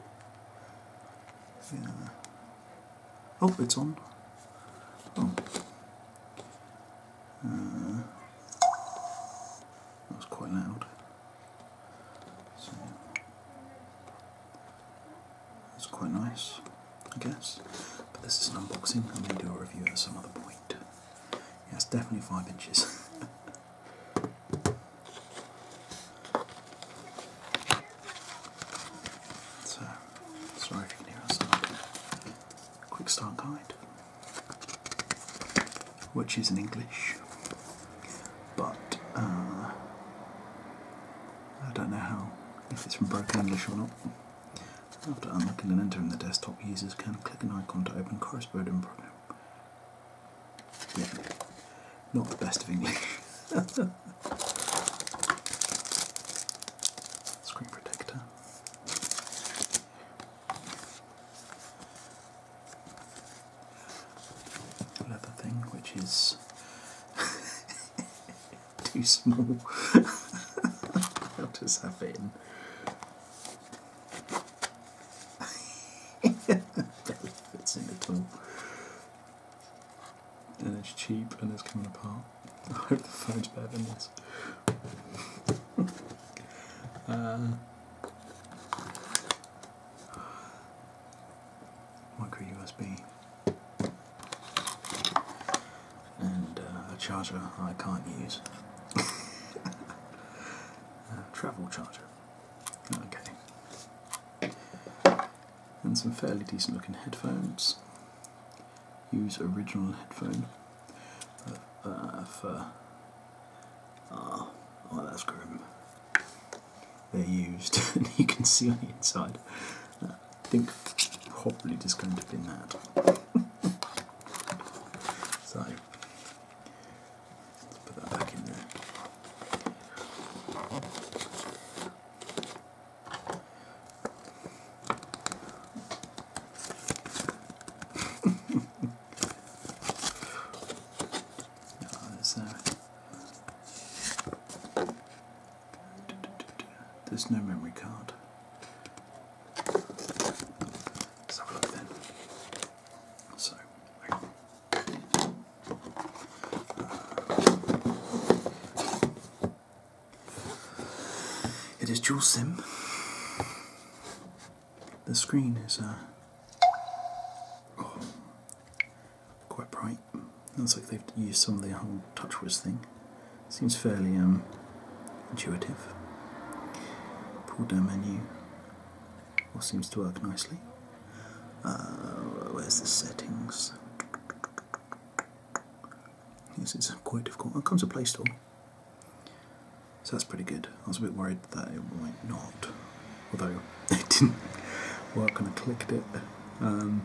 Yeah. Oh, it's on. Oh. Uh, that was quite loud. So that's quite nice, I guess. But this is an unboxing. I'm going to do a review at some other point. Yes, definitely five inches. [LAUGHS] so, sorry if you can hear outside. Quick start guide which is in English, but uh, I don't know how if it's from broken English or not. After unlocking and entering the desktop, users can click an icon to open corresponding program. not the best of English. [LAUGHS] Screen protector leather thing, which is [LAUGHS] too small. How does that fit in? Barely fits in at all. And it's cheap and it's coming apart. [LAUGHS] I hope the phone's better than this micro USB uh, and uh, a charger I can't use. [LAUGHS] a travel charger. Okay. And some fairly decent looking headphones. Use original headphone. Uh, if, uh, uh oh, They're used, [LAUGHS] you can see on the inside. I think probably just going to be that. [LAUGHS] so, let's put that back in there there's no memory card. Uh, it is dual sim the screen is uh, quite bright. Looks like they've used some of the whole TouchWiz thing. Seems fairly um, intuitive. Pull down menu. All seems to work nicely. Uh, where's the settings? Yes, it's quite difficult. It comes to Play Store. So that's pretty good. I was a bit worried that it might not, although [LAUGHS] it didn't work when I clicked it. Um,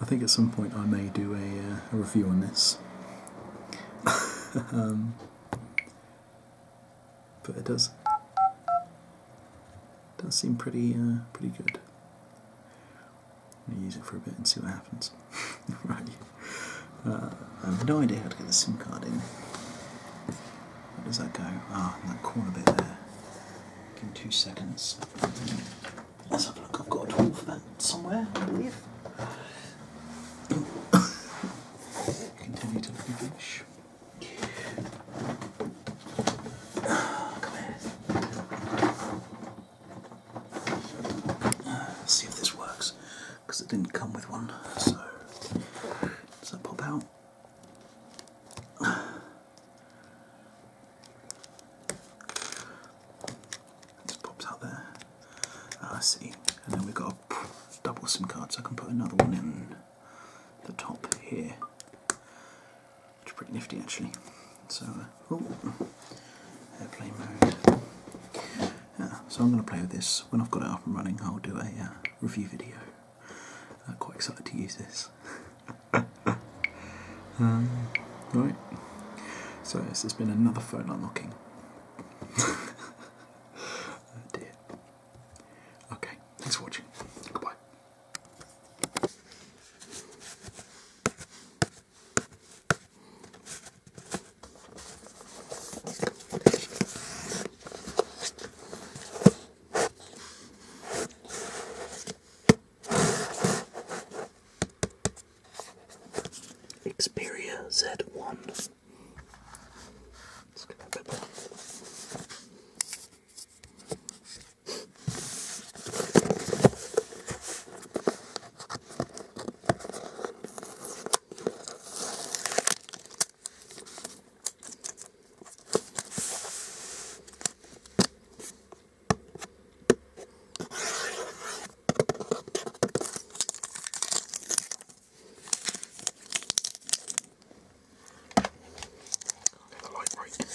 I think at some point I may do a, uh, review on this. [LAUGHS] Um, but it does does seem pretty uh, pretty good use it for a bit and see what happens. [LAUGHS] right. Uh, I have no idea how to get the SIM card in. Where does that go? Ah, in that corner bit there. Give me two seconds. Let's have a look. I've got a tool for that somewhere, I believe. [COUGHS] Continue to look ah, come here. Let's see if this works because it didn't come with one. So, does that pop out? just pops out there. Ah, I see. And then we've got a double SIM card, so I can put another one in the top here, which is pretty nifty actually. So. Uh, so I'm going to play with this. When I've got it up and running, I'll do a uh, review video. I'm uh, quite excited to use this. [LAUGHS] um, right, so this has been another phone unlocking. [LAUGHS] oh dear. Okay, thanks for watching. Goodbye. Xperia Z1. Let's go a bit more. Get the light right.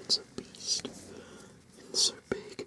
It's a beast. It's so big.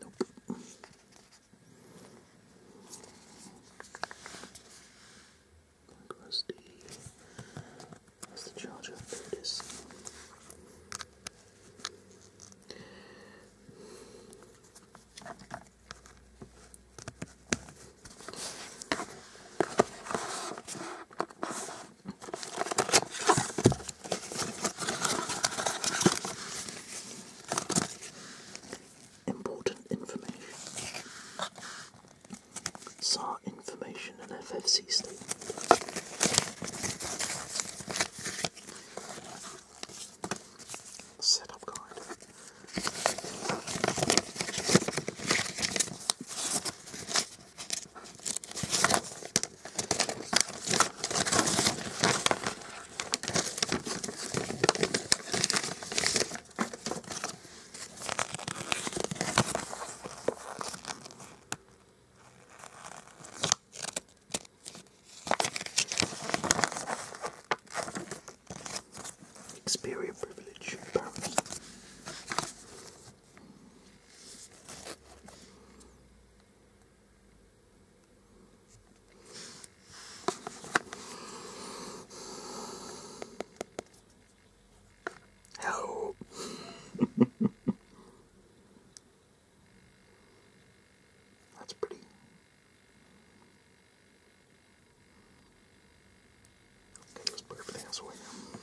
Nope. Like That's the charger. There Important information. SAR information and FFC statement setup guide. Experience privilege, apparently. Help. [LAUGHS] That's pretty Okay, let's put everything else away now.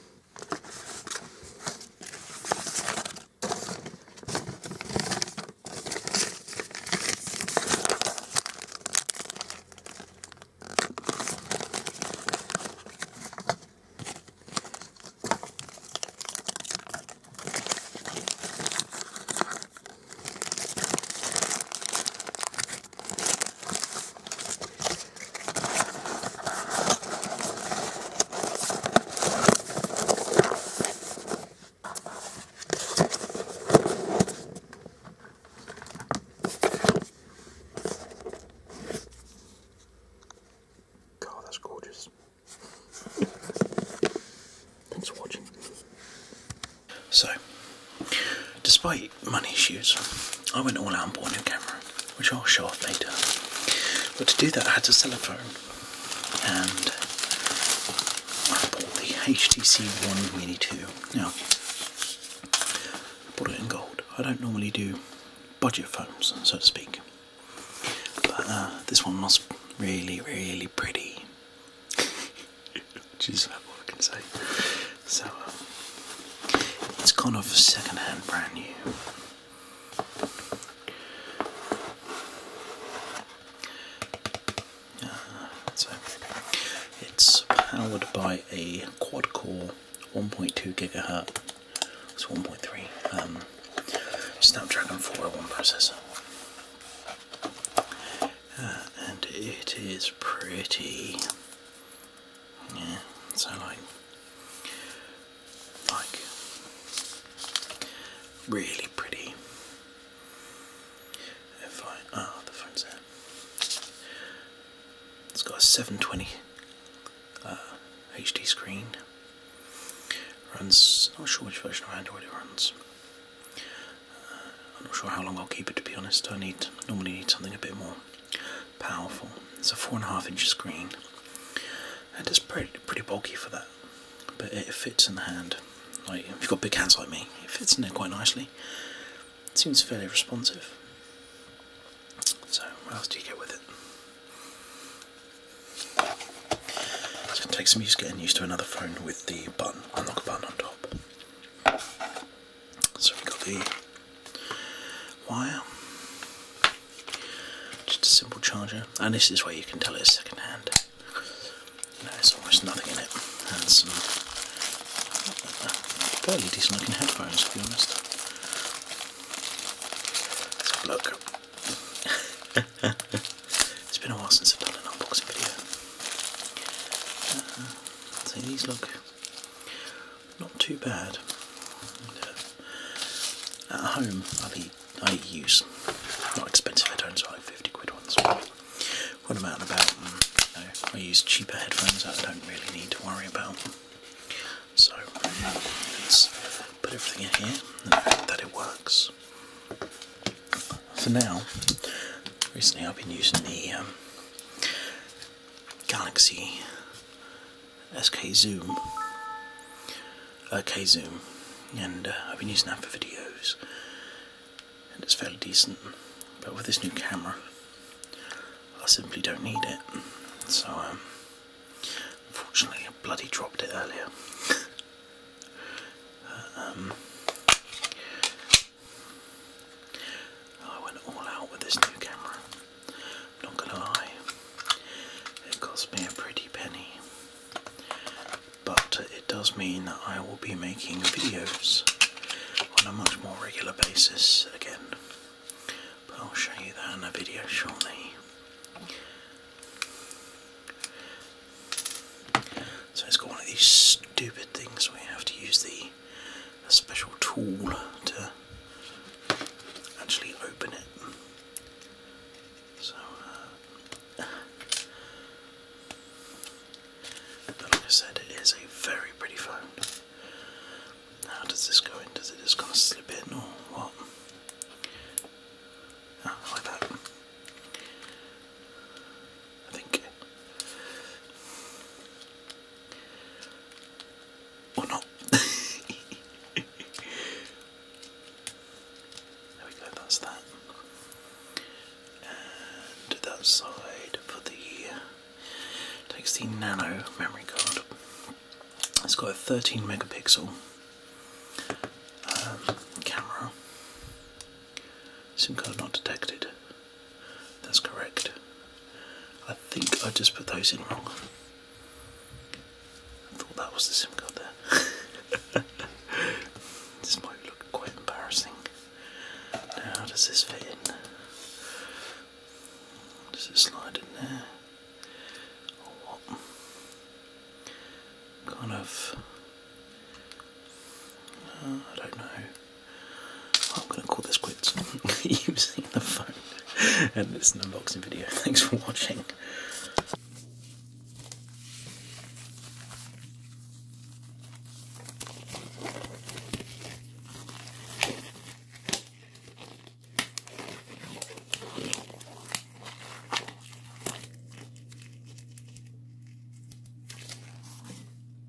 God, that's gorgeous. Thanks for watching. So, despite money issues, I went all out and bought a new camera, which I'll show off later. But to do that, I had to sell a phone, and I bought the HTC One Mini 2. Now, I bought it in gold. I don't normally do budget phones, so to speak. But uh, this one was really, really pretty. Which is about all I can say. So, um, it's kind of second brand new. Uh, so, it's powered by a quad core 1.2 gigahertz, it's 1.3 um, Snapdragon 401 processor. Uh, and it is pretty. Yeah, so like, like, really pretty. If I ah, the phone's there. It's got a 720 HD uh, screen. Runs, not sure which version of Android it runs. I'm not sure how long I'll keep it to be honest. I need normally need something a bit more powerful. It's a four and a half inch screen, and it's pretty pretty bulky for that, but it fits in the hand. Like if you've got big hands like me, it fits in there quite nicely. It seems fairly responsive. So what else do you get with it? It's going some use getting used to another phone with the button, unlock button on top. So we've got the wire, just a simple charger, and this is where you can tell it's secondhand. there's almost nothing in it, and some fairly decent looking headphones to be honest. Let's have a look. [LAUGHS] it's been a while since I've done an unboxing video. Uh-uh. so these look not too bad. Uh, at home, I, use not expensive headphones, like 50 quid ones. When I'm out and about, mm, I use cheaper headphones that I don't really need to worry about. So let's put everything in here and hope that it works for now, recently I've been using the um, Galaxy SK Zoom, uh, K Zoom, and uh, I've been using that for videos, and it's fairly decent. But with this new camera, I simply don't need it. So, um, unfortunately, I bloody dropped it earlier. [LAUGHS] Uh, um, Oh, I went all out with this new camera. Not gonna lie, it cost me a pretty penny. But it does mean that I will be making videos on a much more regular basis again. But I'll show you that in a video shortly. So it's got one of these stupid things where you have to use the special tool to actually open it. So, uh, but like I said, it is a very pretty phone. How does this go in? Does it just kind of slip in or what? Oh, like that. I think. Or not. [LAUGHS] there we go, that's that. And that side for the takes the nano memory card. It's got a 13 megapixel um, camera. SIM card not detected. That's correct. I think I just put those in wrong. I thought that was the SIM card there. [LAUGHS] this might look quite embarrassing. Now, how does this fit in? Does it slide in there? Kind of I don't know. I'm going to call this quits using [LAUGHS] the phone. and this unboxing video. Thanks for watching.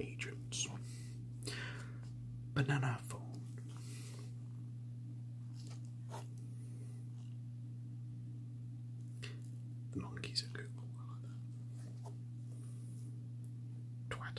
Agents. Banana phone. The monkeys are cool. Twat.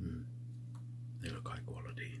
Mm, they look high quality.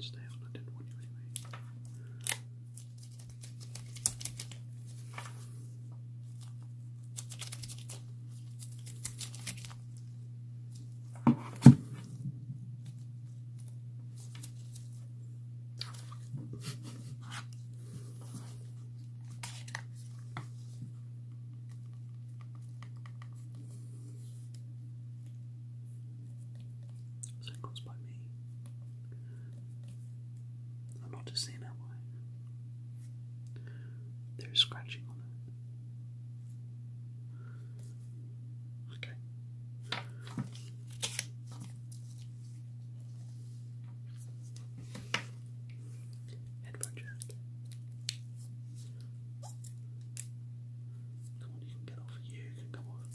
stay on. I didn't want you anyway. Singles by me. I'm not just saying that There's scratching on it. Okay. Headphone jack. Come on, you can get off. You come off.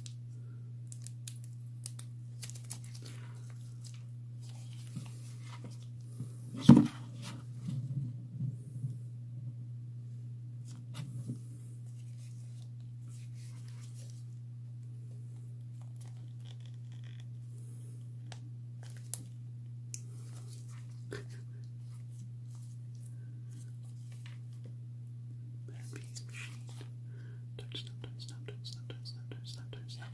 Bambi and Sheen. touch snap, touch snap, touch snap, touch snap, touch snap.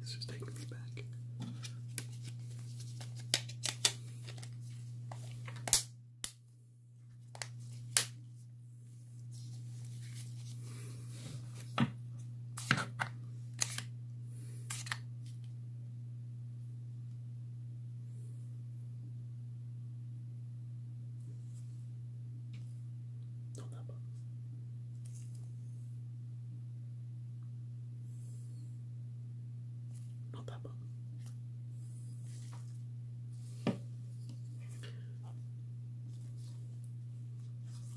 This is taking me back. Don't no problem.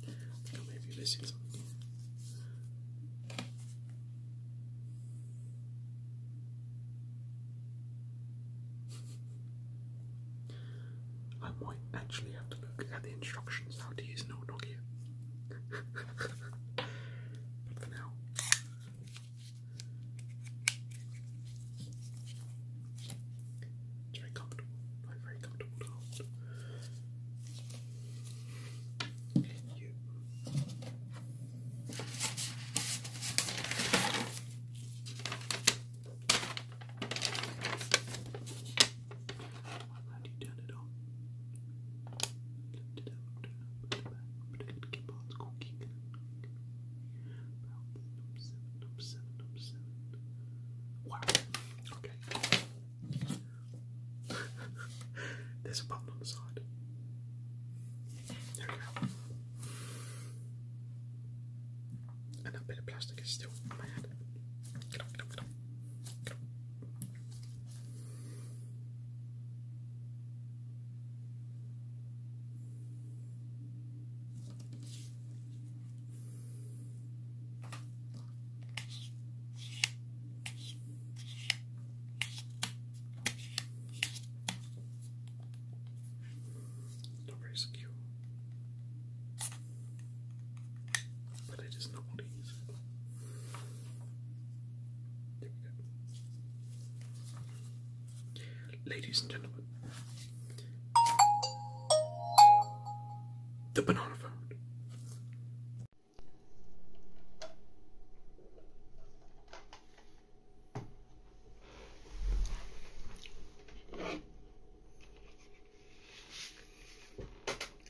I think I may missing something. I might actually have to look at the instructions how to use No old but for now. It's very comfortable. Very, very comfortable to hold. You. How do you turn it on? Lift it out, put it back, put it in parts cooking. About seven, number seven, number seven. Wow. Okay. There's a button on the side. There we go. And that bit of plastic is still on my hand. get up, get up. Get up. Not very secure, but it is not what Ladies and gentlemen, the banana phone.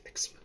Excellent.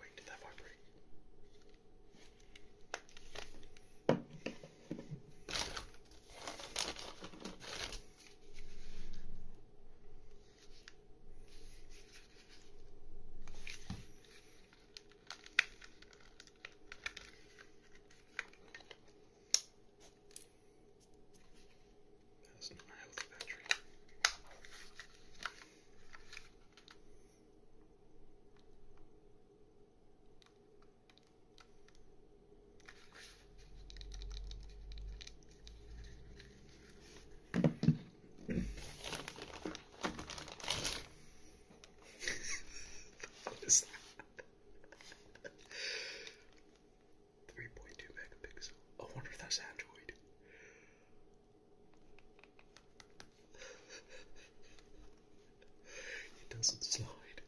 Wait, did that vibrate? That's not my healthy battery. [LAUGHS] what is that? 3.2 megapixel. I wonder if that's Android. it doesn't slide.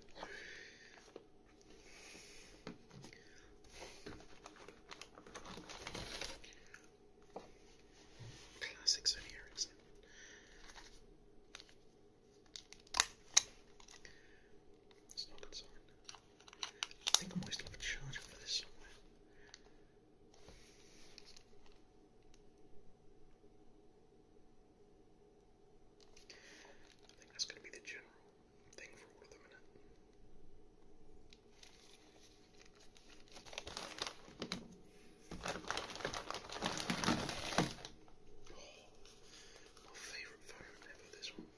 Classic Sony It's not concerned. I think I might still have a charger for this somewhere. I think that's going to be the general thing for all of them, is it? Oh, my favourite phone ever, this one.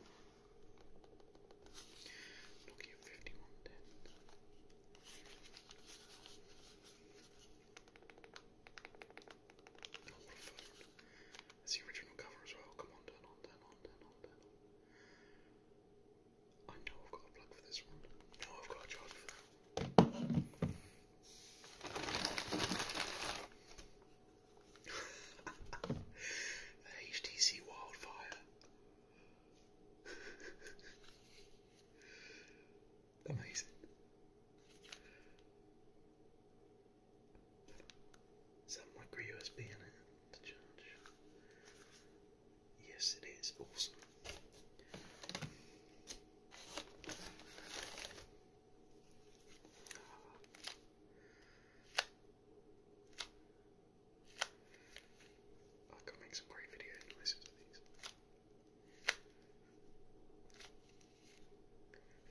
Nokia 5110. Oh, the original cover as well. Come on, turn on, turn on, turn on, turn on. I know I've got a plug for this one. No, I've got a charger for the HTC Wildfire. Amazing. Some micro USB in it Yes, it is awesome. I could make some great video noises with these.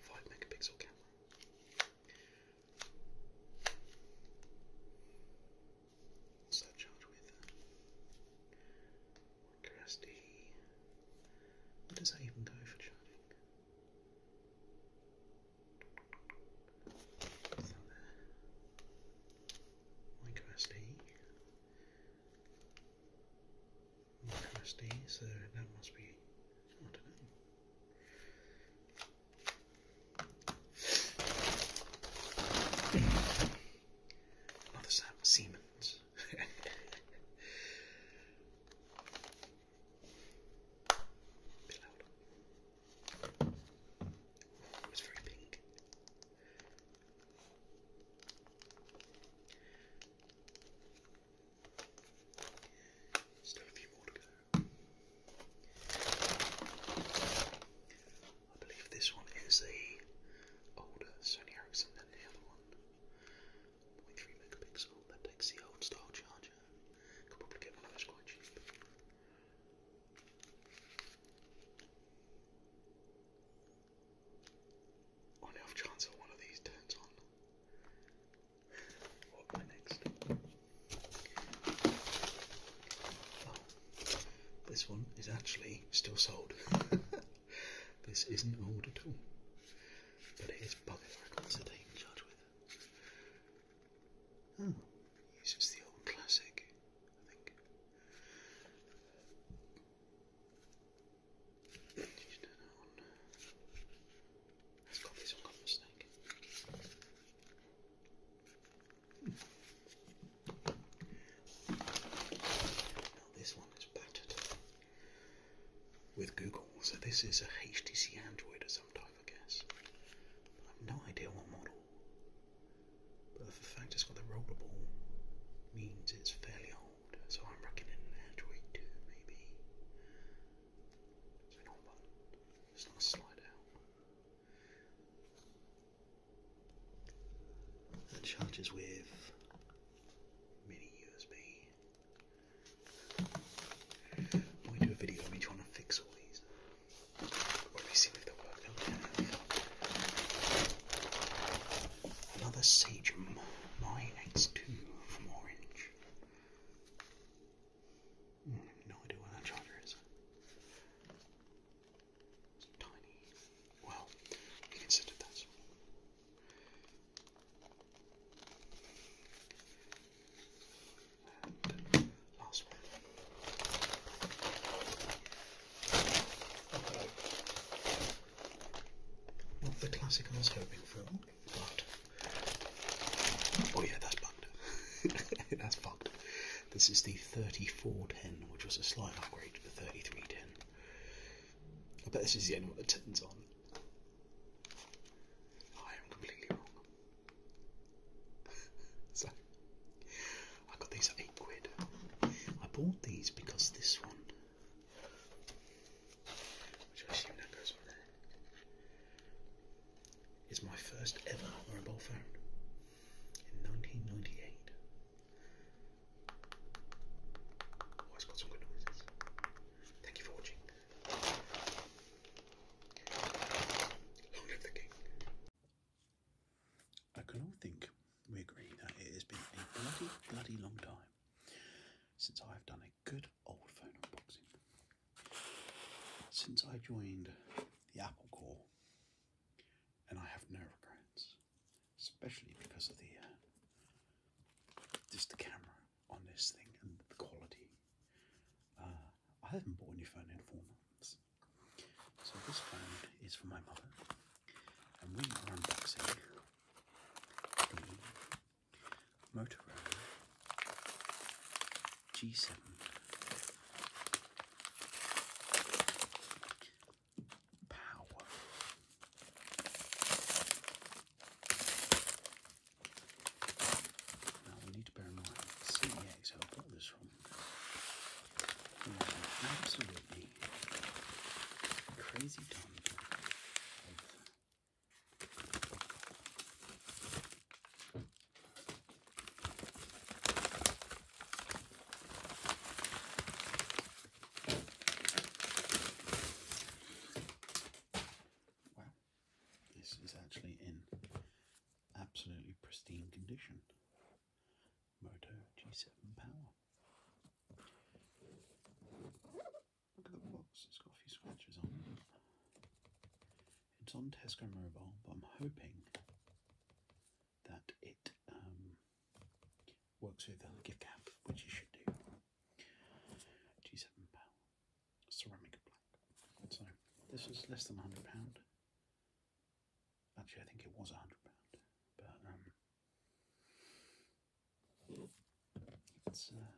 Five megapixel camera. What's that charged with? Micro Where does that even go for charging? So there. MicroSD. MicroSD, so that must be, Another Sam Siemens. [LAUGHS] It's very pink. Still a few more to go. I believe this one is the older Sony Ericsson than the other one. 0.3 megapixel that takes the old style charger on the chance that one of these turns on. What am next? Oh, this one is actually still sold. [LAUGHS] this isn't old at all. But it is bugger I can't charge with. This is the old classic, I think. Did has got this on mistake. Now this one is battered with Google, so this is a HTC Android or some type I guess. But I have no idea what model. But the fact it's got the rollable means it's fairly old, so I'm reckoning an Android 2, maybe. It's not a slide out. That charges with mini USB. When we do a video on each one to fix all these. Or they work. Another Sagem My X2 from Orange. Hmm, no idea where that charger is. It's tiny. Well, you can sit at that not the classic I was hoping for, but oh yeah, that's bugged. [LAUGHS] that's bugged. This is the 3410, which was a slight upgrade to the 3310. I bet this is the only one that turns on. I am completely wrong. [LAUGHS] so, I got these 8 quid. I bought these because this one, which I assume that goes on there, is my first ever mobile phone in 1998. Oh, it's got some good noises. Thank you for watching. I can all think we agree that it has been a bloody, bloody long time since I have done a good old phone unboxing. Since I joined the Apple Corps, and I have no regrets, especially because of the uh, just the camera on this thing and the quality uh, I haven't bought a new phone in four months. So this phone is for my mother, and we are unboxing the Motorola G7 Power. Now we need to bear in mind CEAs, where I got this from, absolutely crazy ton Wow, this is actually in absolutely pristine condition. Moto G7 Power. Look at the box, it's got a few scratches on It's on Tesco Mobile, but I'm hoping that it um, works with a gift app, which you should do. G7 Power ceramic black. So this was less than £100. Actually, I think it was £100. But um, it's, uh,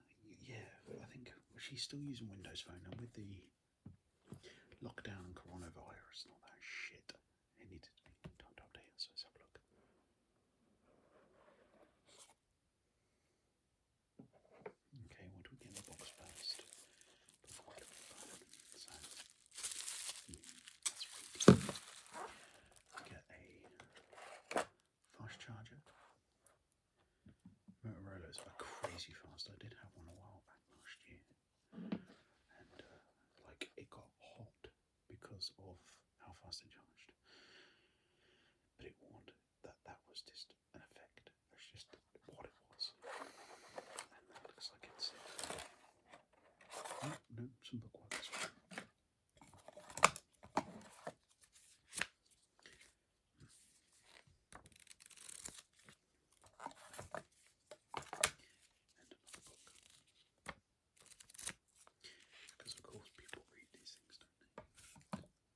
yeah, I think she's still using Windows Phone. And with the lockdown and coronavirus and all that shit, it needed to be typed up here. So let's have a look. Okay, what do we get in the box first? Before we get a fast charger. Motorola's are crazy fast. I did have one a while back last year, and uh, like it got hot because of how fast it charged. But it warned that that was just an effect. That's just what it was. And that looks like it's No, oh, no, some bookworm as well. And another book. Because of course people read these things,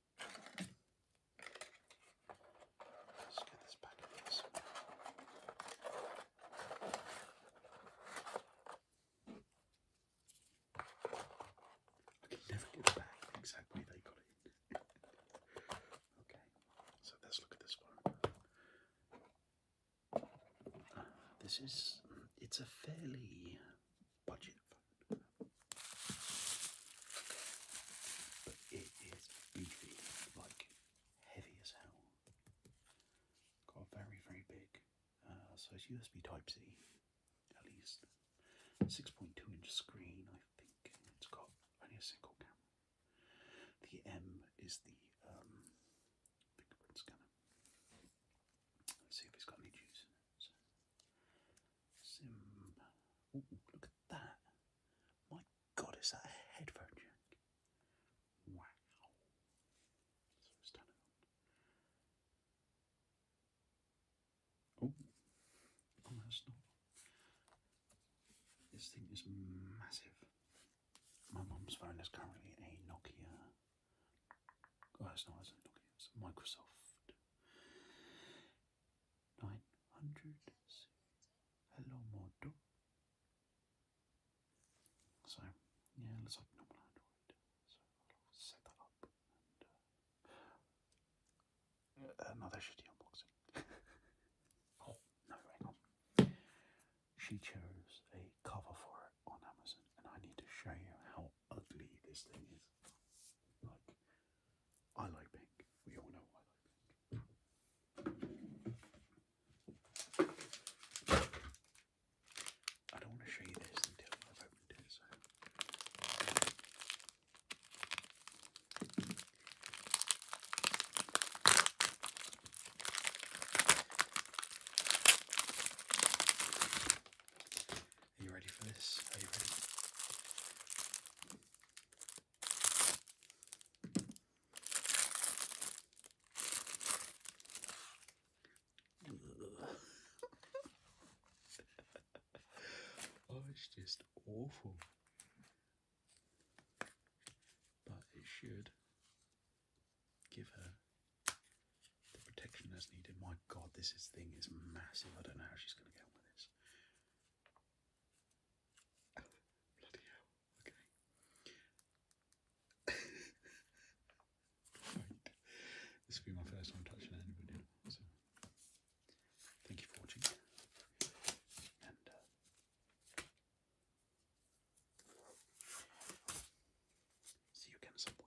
Let's I can never get back exactly they got it. [LAUGHS] okay, so let's look at this one. this is, it's a fairly budget But it is beefy, like heavy as hell. Got very, very big. so it's USB Type C, at least. 6.2 inch screen, I think. It's got only a single camera. The M is the um, fingerprint scanner. Let's see if it's got any juice in it. sim. look at that. God, is that a headphone jack? Wow. Oh, oh, that's not. This thing is massive. My mom's phone is currently a Nokia. Oh, it's not, it's a Nokia, it's Microsoft 900 hello modo so yeah it looks like normal android so I'll set that up uh, uh, another shitty unboxing [LAUGHS] oh no hang on she chose a cover for it on Amazon and I need to show you how ugly this thing is like I like pink we all know I like pink I don't want to show you this until I've opened it, are you ready for this? Are you ready? [LAUGHS] oh, it's just awful. But it should give her the protection as needed. My god, this thing is massive. I don't know how she's going to get on with this bloody hell, okay. [LAUGHS] This will be my first time touching anybody, so thank you for watching. And uh, See you again at some point.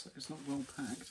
So it's not well packed.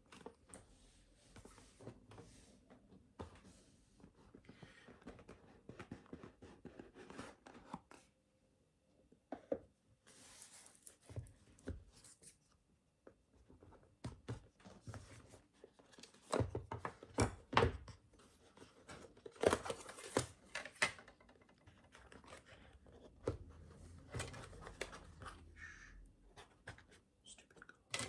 Stupid girl.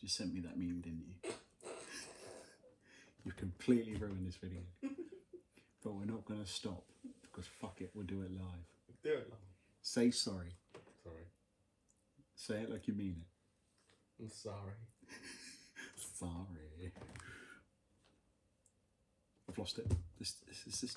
You sent me that meme, didn't you? [LAUGHS] You've completely ruined this video. [LAUGHS] but we're not going to stop because fuck it, we'll do it live. Do it live. Say sorry. Sorry. Say it like you mean it. I'm sorry. sorry. I've lost it. This, this, this, this.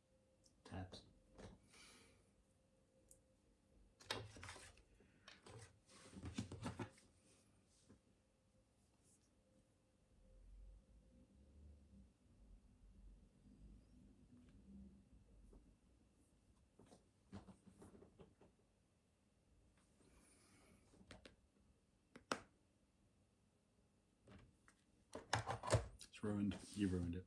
It's ruined. You ruined it.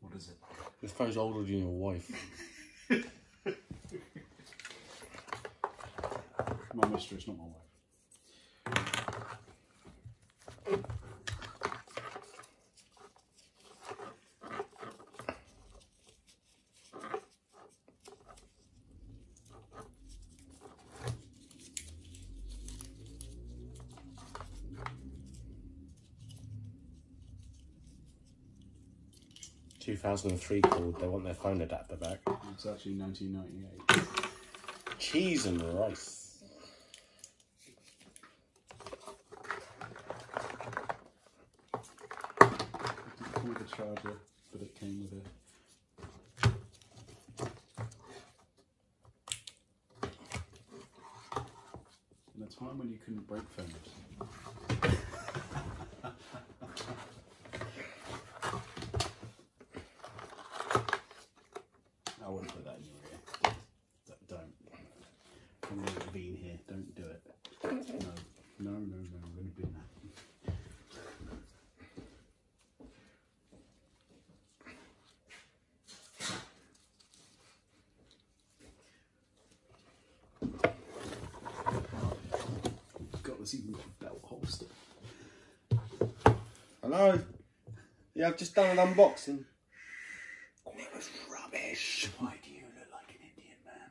What is it? This guy's older than your wife. my mistress, not my wife. 2003 called, they want their phone adapter back. It's actually 1998. Cheese and rice. With a charger, but it came with a in a time when you couldn't break things. I wouldn't put that in your ear. Don't. i here. Don't do it. No, no, no, no. I'm going to be in there. God, it's even got a belt holster. Hello, Yeah, I've just done an unboxing. it was rubbish. Why do you look like an Indian man?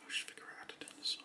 I should figure out how to turn this on.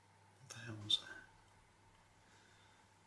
What the hell was that?